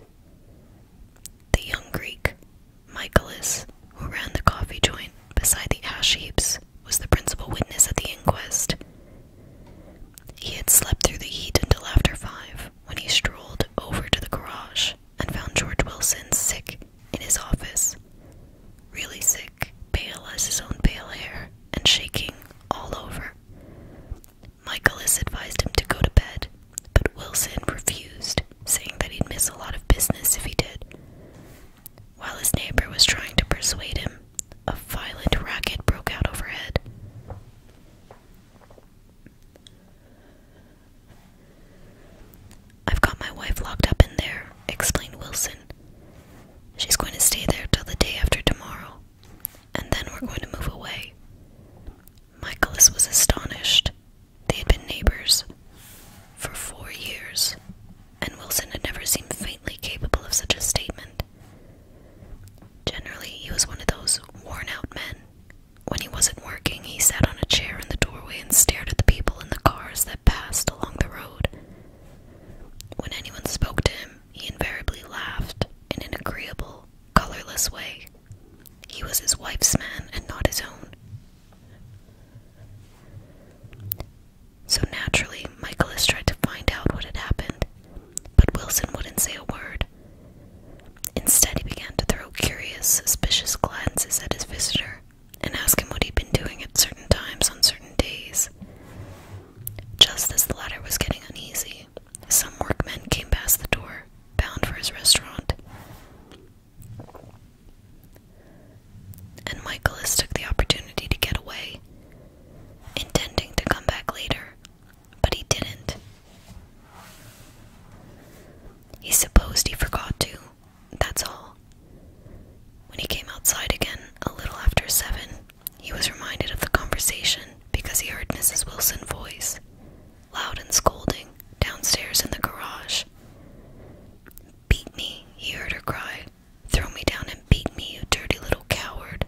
The young Greek, Michaelis, who ran the coffee joint beside the ash heaps, was the principal witness at the inquest, he had slept through the heat until after five, when he strolled over to the garage and found George Wilson sick in his office. Really sick, pale as his own pale hair, and shaking all over. Michaelis advised him to go to bed, but Wilson refused, saying that he'd miss a lot of business if he did. While his neighbor was trying to persuade him, a violent racket broke out overhead. I've got my wife locked up in there, explained Wilson. She's going to stay there till the day after tomorrow, and then we're going to move away. Michaelis was astonished. They had been neighbors for four years, and Wilson had never seemed faintly capable of such a statement. Generally, he was one of those worn out men. When he wasn't working, he sat on a chair in the doorway and stared at the people in the cars that passed along the road. When anyone spoke to him, he invariably laughed in an agreeable, colorless way. He was his wife's man and not his own. So naturally, Michaelis tried to find out what had happened, but Wilson wouldn't say a word. Instead, he began to throw curious, suspicious glances at his visitor and ask him what he'd been doing at certain times on certain days. Just as the latter was getting uneasy, some workmen came past the door, bound for his restaurant. And Michaelis took the opportunity to get away, intending to come back later, but he didn't. He supposed he forgot to, that's all. When he came outside again a little after seven, he was reminded of the conversation because he heard Mrs. Wilson's voice, loud and scolding, downstairs in the garage. Beat me, he heard her cry. Throw me down and beat me, you dirty little coward.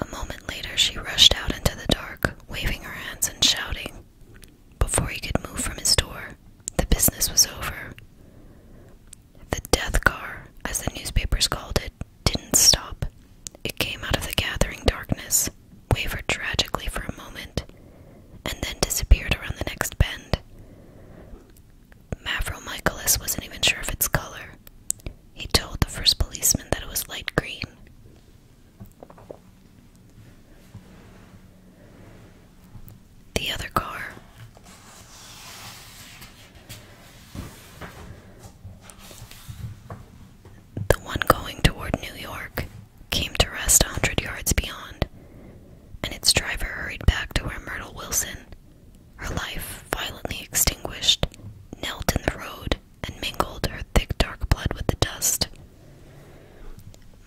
A moment later, she rushed out into the dark, waving her hands and shouting. Before he could move from his door, the business was over. The death car, as the newspapers called it, didn't stop. It came out of the gathering darkness, wavered tragically for a moment, and then disappeared around the next bend. Mavro Michaelis wasn't even sure of its color. He told the first policeman that it was light green. The other car. The one going toward New York came to rest a hundred yards beyond, and its driver hurried back to where Myrtle Wilson her life, violently extinguished, knelt in the road and mingled her thick dark blood with the dust.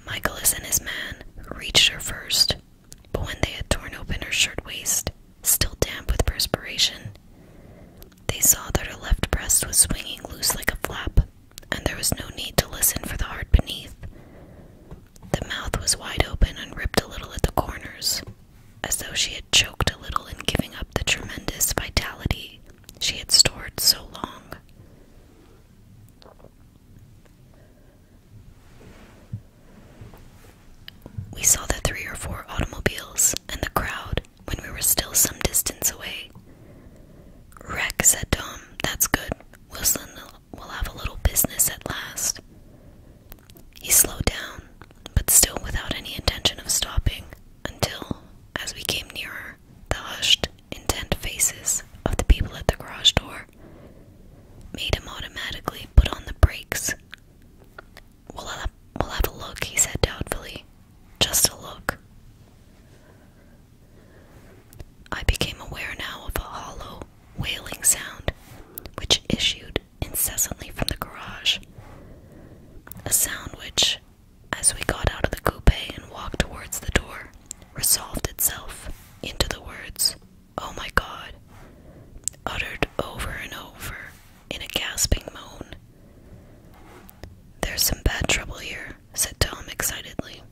Michaelis and his man reached her first, but when they had torn open her shirtwaist, still damp with perspiration, they saw that her left breast was swinging loose like a flap, and there was no need to listen for the heart beneath. The mouth was wide open and ripped a little at the corners, as though she had choked a little in giving up the tremendous vitality she had stored so long. We saw the three or four automobiles and the crowd when we were still some distance away. Wreck, said Tom. That's good. Wilson will have a little business at last. He slowed down, but still without any intention of stopping, until, as we came nearer, the hushed, intent faces of the people at the garage door made him automatically put on the brakes. We'll have, a look, he said doubtfully. Just a look. I became aware now of a hollow, wailing sound which issued incessantly from the garage. A sound which, as we got out of the coupe and walked towards the door, resolved itself into the words, Oh my God, uttered over and over in a gasping moan. There's some bad trouble here, said Tom excitedly.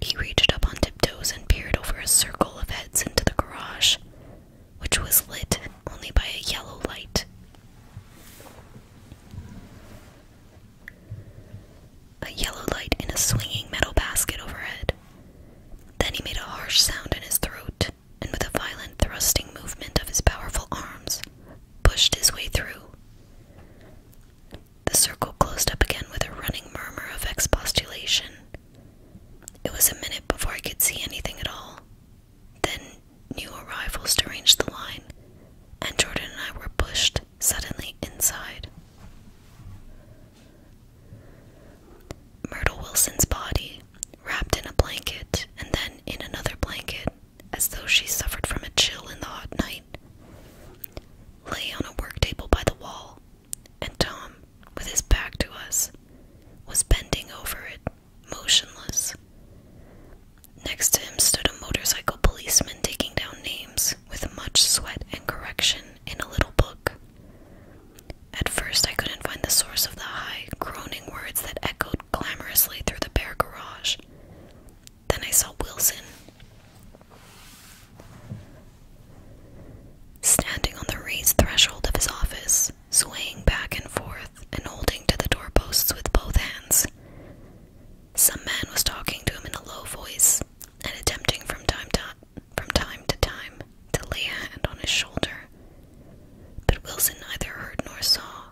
He reached up on tiptoes and peered over a circle of heads into the garage which was lit only by a yellow light. A yellow light in a swinging metal basket overhead. Then he made a harsh sound in his throat, and with a violent thrusting movement of his powerful arms, pushed his way through. The circle closed up again with a running murmur of expostulation, it was a minute before I could see anything at all. Then new arrivals deranged the line, and Jordan and I were pushed suddenly inside. Myrtle Wilson's body, wrapped in a blanket and then in another blanket, as though she suffered from a chill in the hot night, lay on a worktable by the wall, and Tom, with his back to us, was bending over it, motionless. Next to him stood a motorcycle policeman taking down names with much sweat and correction in a little book. At first, I couldn't find the source of the high, groaning words that echoed clamorously through the bare garage. Then I saw Wilson. Standing on the raised threshold of his office, swaying back and forth and holding to the doorposts with both hands. Some man was talking to him in a low voice and attempting from time to time to time to lay a hand on his shoulder. But Wilson neither heard nor saw.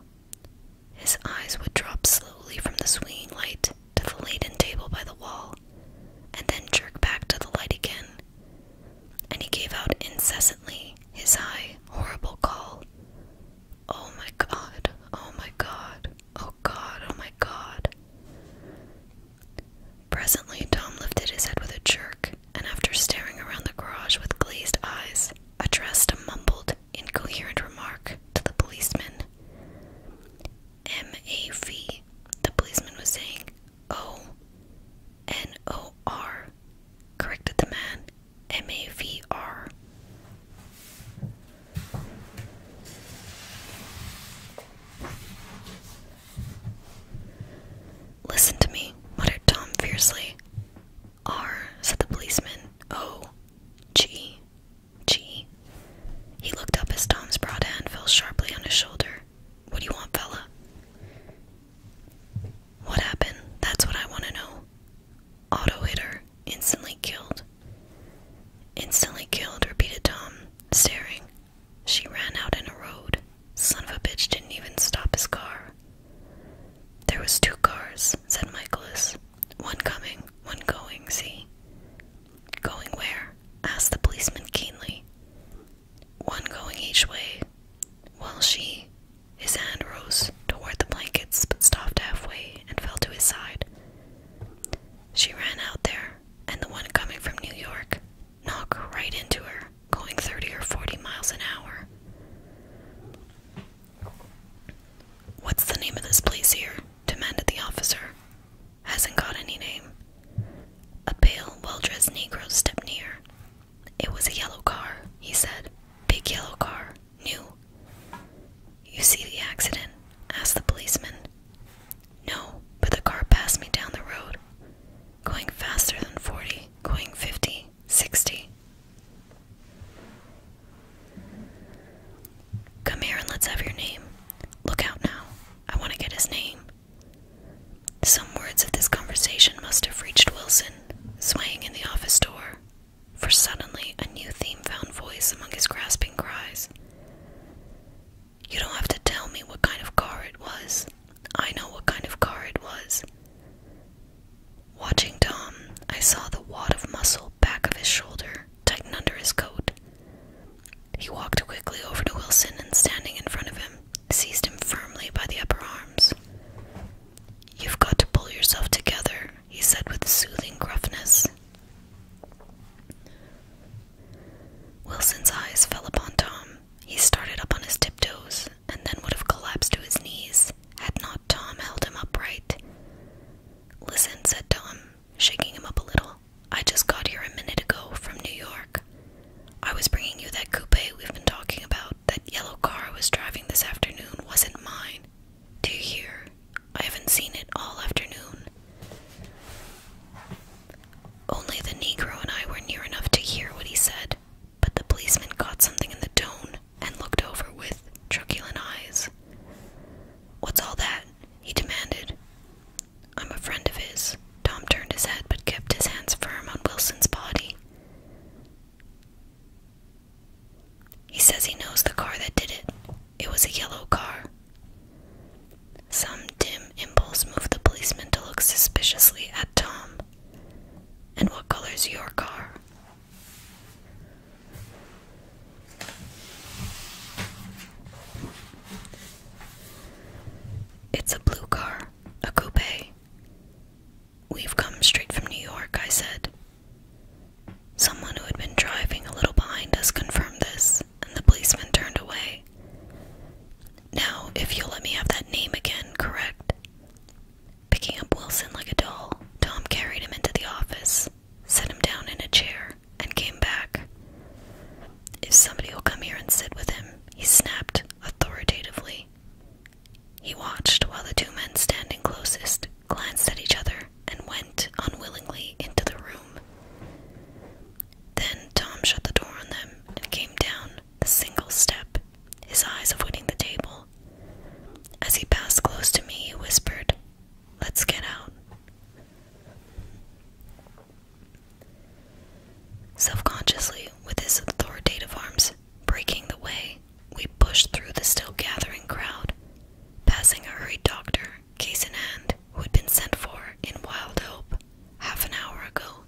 His eyes would drop slowly from the swinging light to the laden table by the wall, and then jerk back to the light again and he gave out incessantly his high, horrible call. Oh my god, oh my god, oh god, oh my god. Presently, Tom lifted his head with a jerk, and after staring around the garage with glazed eyes, addressed a mumbled, incoherent remark to the policeman. M A V, the policeman was saying, Oh, N O R, corrected the man. M A V R. Listen to me, muttered Tom fiercely. R, said the policeman. O, G, G. He looked up as Tom's broad hand fell sharply on his shoulder. What do you want, fella? What happened? That's what I want to know. Auto hitter. Instantly killed. Instantly killed, repeated Tom, staring. She ran out in a road. Son of a bitch didn't even stop his car. There was two cars, said Michaelis. One coming, one going, see? Going where? asked the policeman keenly one going each way, while she, his hand rose toward the blankets but stopped halfway and fell to his side. She ran out there, and the one coming from New York knocked right into her, going 30 or 40 miles an hour. What's the name of this place here? demanded the officer. Hasn't got any name. A pale, well dressed negro stepped near, it was a yellow car, he said. Big yellow car, new. You see the accident? asked the policeman. No, but the car passed me down the road, going faster than 40, going 50, 60. Come here and let's have your name. Look out now. I want to get his name. Some words of this conversation must have reached Wilson, swaying in the office door, for suddenly a new theme found voice among his grasping cries. You don't have to tell me what kind of car it was. I know what kind of car it was. Watching Tom, I saw the wad of muscle back of his shoulder tighten under his coat. He walked quickly over to Wilson and standing in front of him, seized him firmly by the upper arms. You've got to pull yourself together, he said with soothing gruffness. Wilson's eyes fell upon Tom. He started up on his tiptoes and then would have collapsed to his knees had not Tom held him upright. Listen, said Tom, shaking him up a little. I just got here a minute ago from New York. I was bringing you that coupe we've been talking about. That yellow car I was driving this afternoon wasn't mine. Do you hear? I haven't seen it all afternoon. Only the Negro and I were near enough to hear what he said, but the policeman caught something in the tone and looked over with truculent eyes. What's all that? he demanded. I'm a friend of his, Tom turned his head but kept his hands firm on Wilson's body. He says he knows the car that did it. It was a yellow car. Some dim impulse moved the policeman to look suspiciously at Tom. And what color's your car? It's a blue car, a coupe. We've come straight from New York, I said. Someone who had been driving a little behind us confirmed this, and the policeman turned away. Now, if you'll let me have that name again, correct? Picking up Wilson like a doll, Tom carried him into the office, set him down in a chair, and came back. If somebody will come here and sit with him, he snapped, authoritatively. He watched while the two men standing closest glanced at each other and went unwillingly into the room. Then Tom shut the door on them and came down the single step, his eyes avoiding the table. As he passed close to me, he whispered, Let's get out. Self-consciously, with his authoritative arms breaking the way, we pushed through the still gathering crowd, passing a hurried doctor, case in hand, who had been sent for in wild hope half an hour ago.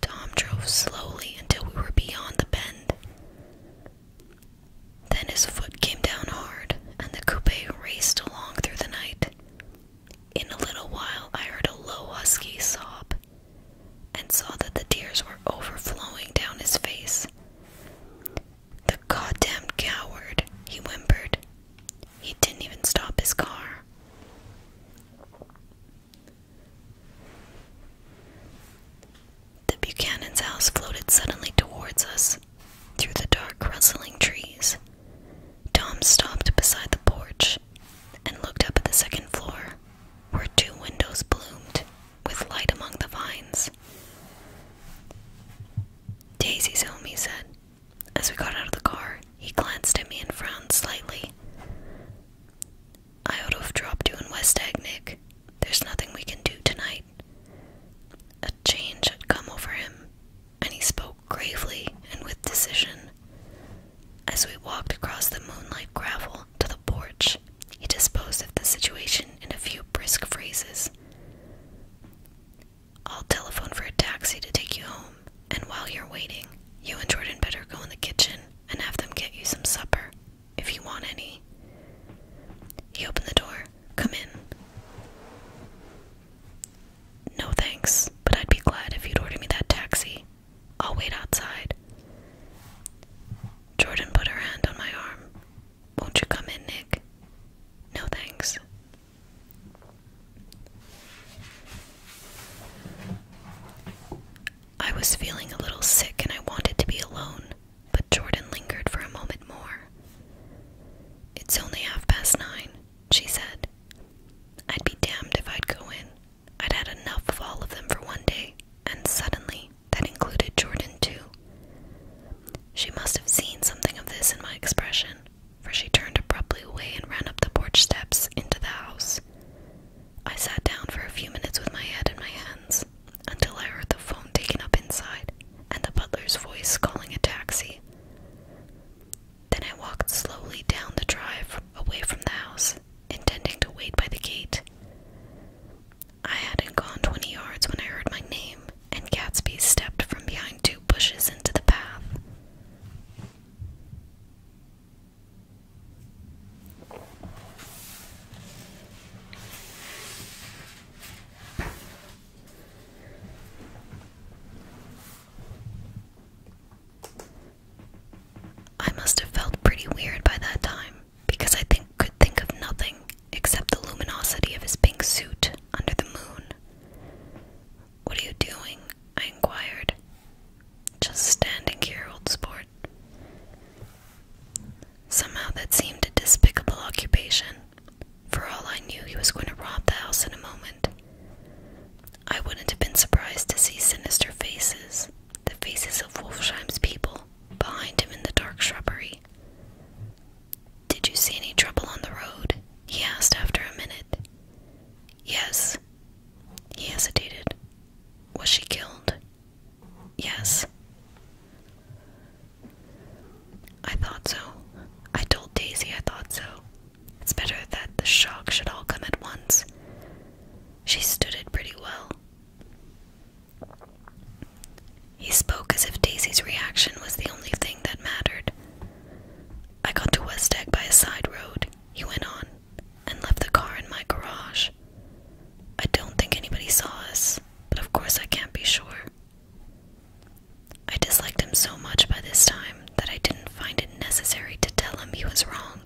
Tom drove slowly until we were beyond the bend. Then his foot came down hard, and the coupe raced along through the night, in a little while, I heard a low, husky sob and saw that the tears were overflowing down his face. The goddamn coward, he whimpered. He didn't even stop his car. The Buchanan's house floated suddenly towards us through the dark, rustling trees. Tom stopped beside the porch and looked up at the second floor, where two windows bloomed with light among the vines. Daisy's home, he said. As we got out of the car, he glanced at me and frowned slightly. I ought to have dropped you in West Egg, Nick. There's nothing we can do tonight. A change had come over him, and he spoke gravely and with decision. As we walked across the moonlight gravel to the porch, he disposed of the situation in a few brisk phrases. I'll telephone for a taxi to take you home, and while you're waiting, you and Jordan better go in the kitchen and have them get you some supper, if you want any. He opened the door. Come in. No thanks, but I'd be glad if you'd order me that taxi, I'll wait outside. Jordan put her hand on my arm. Won't you come in, Nick? No thanks. I was feeling a little sick and I wanted to be alone, but Jordan lingered for a moment more. It's only half past nine, she said. I'd be damned if I'd go in. I'd had enough of all of them for one day, and suddenly that included Jordan too. She must have seen something of this in my expression, for she turned abruptly away and ran up the porch steps into the house. I sat down for a few minutes with my head in my hands until I heard the phone taken up inside and the butler's voice calling a taxi. Then I walked slowly down the drive away from the house, intending to wait by the gate. I hadn't gone twenty yards when I heard my name, and Gatsby stepped from behind two bushes into the path. I must have felt pretty weird by that time because I think could think of nothing except the luminosity of his pink suit under the moon. What are you doing? I inquired. Just standing here, old sport. Somehow that seemed a despicable occupation. For all I knew, he was going to rob the house in a moment. I wouldn't have been surprised to see sinister faces, the faces of Wolfsheim's people, behind him in the dark shrubbery. Did you see any trouble on the road? he asked after a minute. Yes. He hesitated. Was she killed? Yes. I thought so. I told Daisy I thought so. It's better that the shock should all come at once. She stood it pretty well. He spoke as if Daisy's reaction was the only thing that mattered. I got to West Egg by a side road, he went on, and left the car in my garage. I don't think anybody saw us, but of course I can't be sure. I disliked him so much by this time that I didn't find it necessary to tell him he was wrong.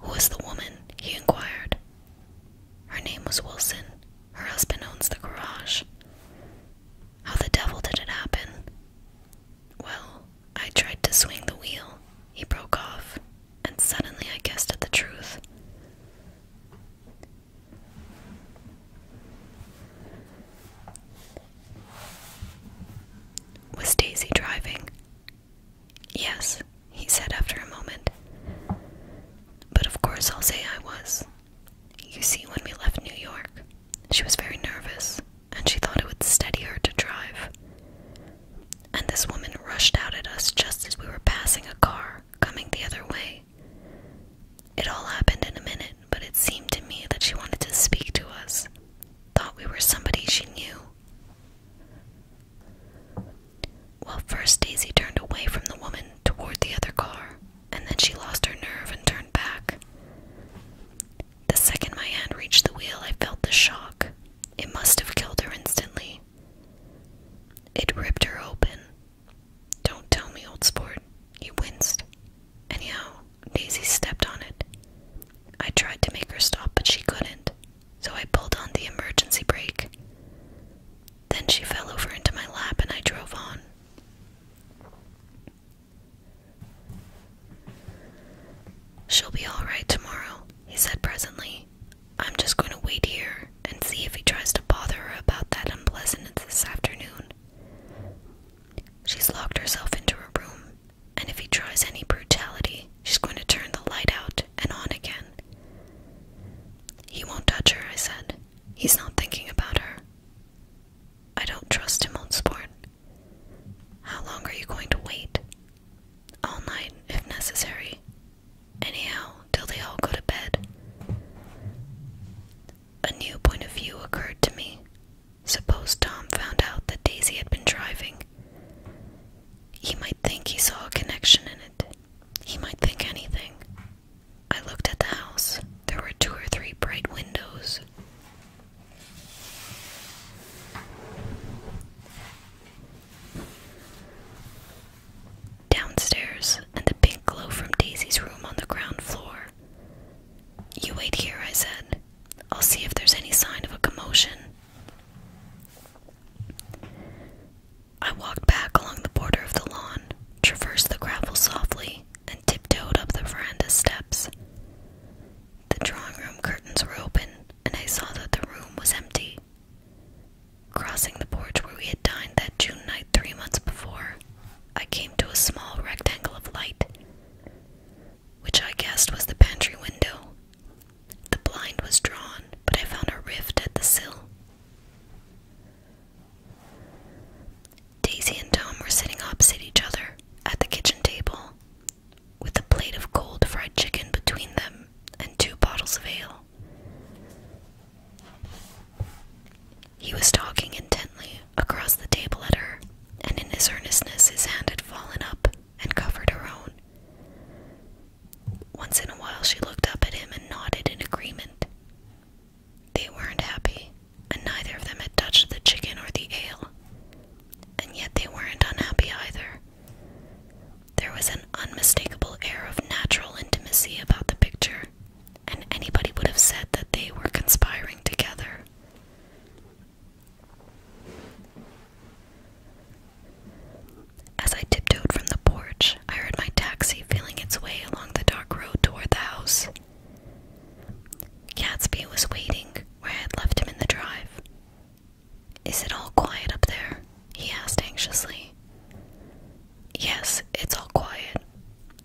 Who is the woman? he inquired. Her name was Wilson. Her husband owns the garage. How the devil did it happen? Well, I tried to swing the wheel, he broke off, and suddenly I guessed at the truth. Was Daisy driving? Yes, he said after a moment. But of course I'll say I was. You see, when we left New York, she was very nervous, and she thought it would steady her to drive. And this woman rushed out at us just as we were passing a car coming the other way. It all happened in a minute but it seemed to me that she wanted to speak to us. Thought we were somebody she knew. Well, first Daisy turned away from the woman toward the other car, and then she lost her nerve and turned back. The second my hand reached the wheel, I felt the shock. It must have killed her instantly. It ripped her open. Don't tell me, old sport. He winced. Anyhow, Daisy stepped on it. I tried to make her stop, but she couldn't, so I pulled on the emergency brake. Then she fell over into my lap and I drove on. She'll be alright tomorrow, he said presently. I'm just going to wait here and see if he tries to bother her about that unpleasantness this afternoon. She's locked herself into her room and if he tries any brutality, she's going to turn the light out and on again. He won't touch her, I said. He's not thinking about her. I don't trust him on sport. How long are you going to wait? All night, if necessary. Anyhow, till they all go to bed. A new point of view occurred to me. Suppose Tom found out that Daisy had been driving. He might think he saw a connection in it. He might think anything. I looked at the house. There were two or three bright windows. Downstairs, and the pink glow from Daisy's room on the ground floor. You wait here, I said. I'll see if there's any sign of a commotion. I walked back along the border of the lawn, traversed the gravel softly, and tiptoed up the veranda steps. The drawing room curtains were open, and I saw that the room was empty. Crossing the porch where we had dined that June night three months before, I came to a small rectangle of light which I guessed was the pantry window. The blind was drawn, but I found a rift at the sill. Daisy and Tom were sitting opposite each other at the kitchen table, with a plate of cold fried chicken between them and two bottles of ale. He was talking intently across the table at her and in his earnestness his hand had fallen up and covered her own. Once in a while she looked up at him and nodded in agreement. They weren't happy, and neither of them had touched the chicken or the ale. And yet they weren't unhappy either. There was an unmistakable air of natural intimacy about the picture, and anybody would have said that they were conspiring together. As I tiptoed from the porch, I heard my taxi feeling its way along the dark road toward the house. Gatsby was waiting where I had left him in the drive. Is it all quiet up there? he asked anxiously. Yes, it's all quiet.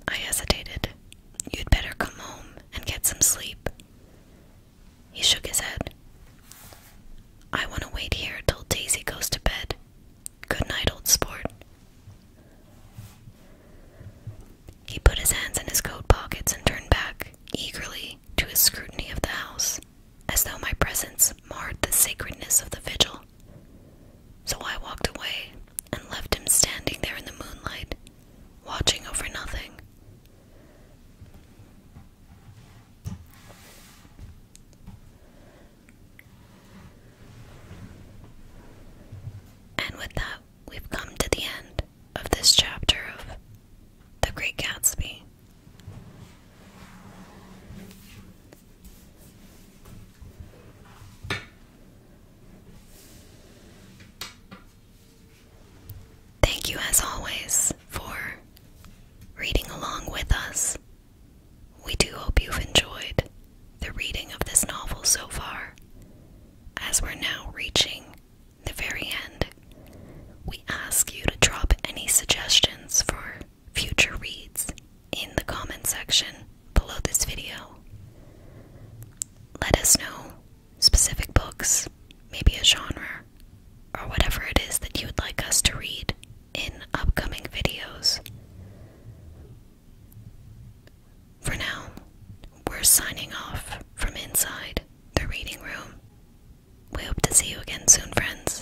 I hesitated. You'd better come home and get some sleep. He shook his head. I want to wait here till Daisy goes to bed. Good night, old sport. He put his hands in his coat pockets and turned back, eagerly, to his scrutiny of the house, as though my presence marred the sacredness of the vigil. So I walked away and left him standing there in the moonlight, watching over nothing, and with that, we've come to the end of this chapter of The Great Gatsby. Thank you, as always, for reading along with us. We do hope you've enjoyed the reading of this novel so far, as we're now reaching the very end. We ask you to drop any suggestions for future reads in the comment section below this video. Let us know specific books, maybe a genre, or whatever it is that you would like us to read in upcoming videos. For now, we're signing off from inside the reading room. We hope to see you again soon, friends.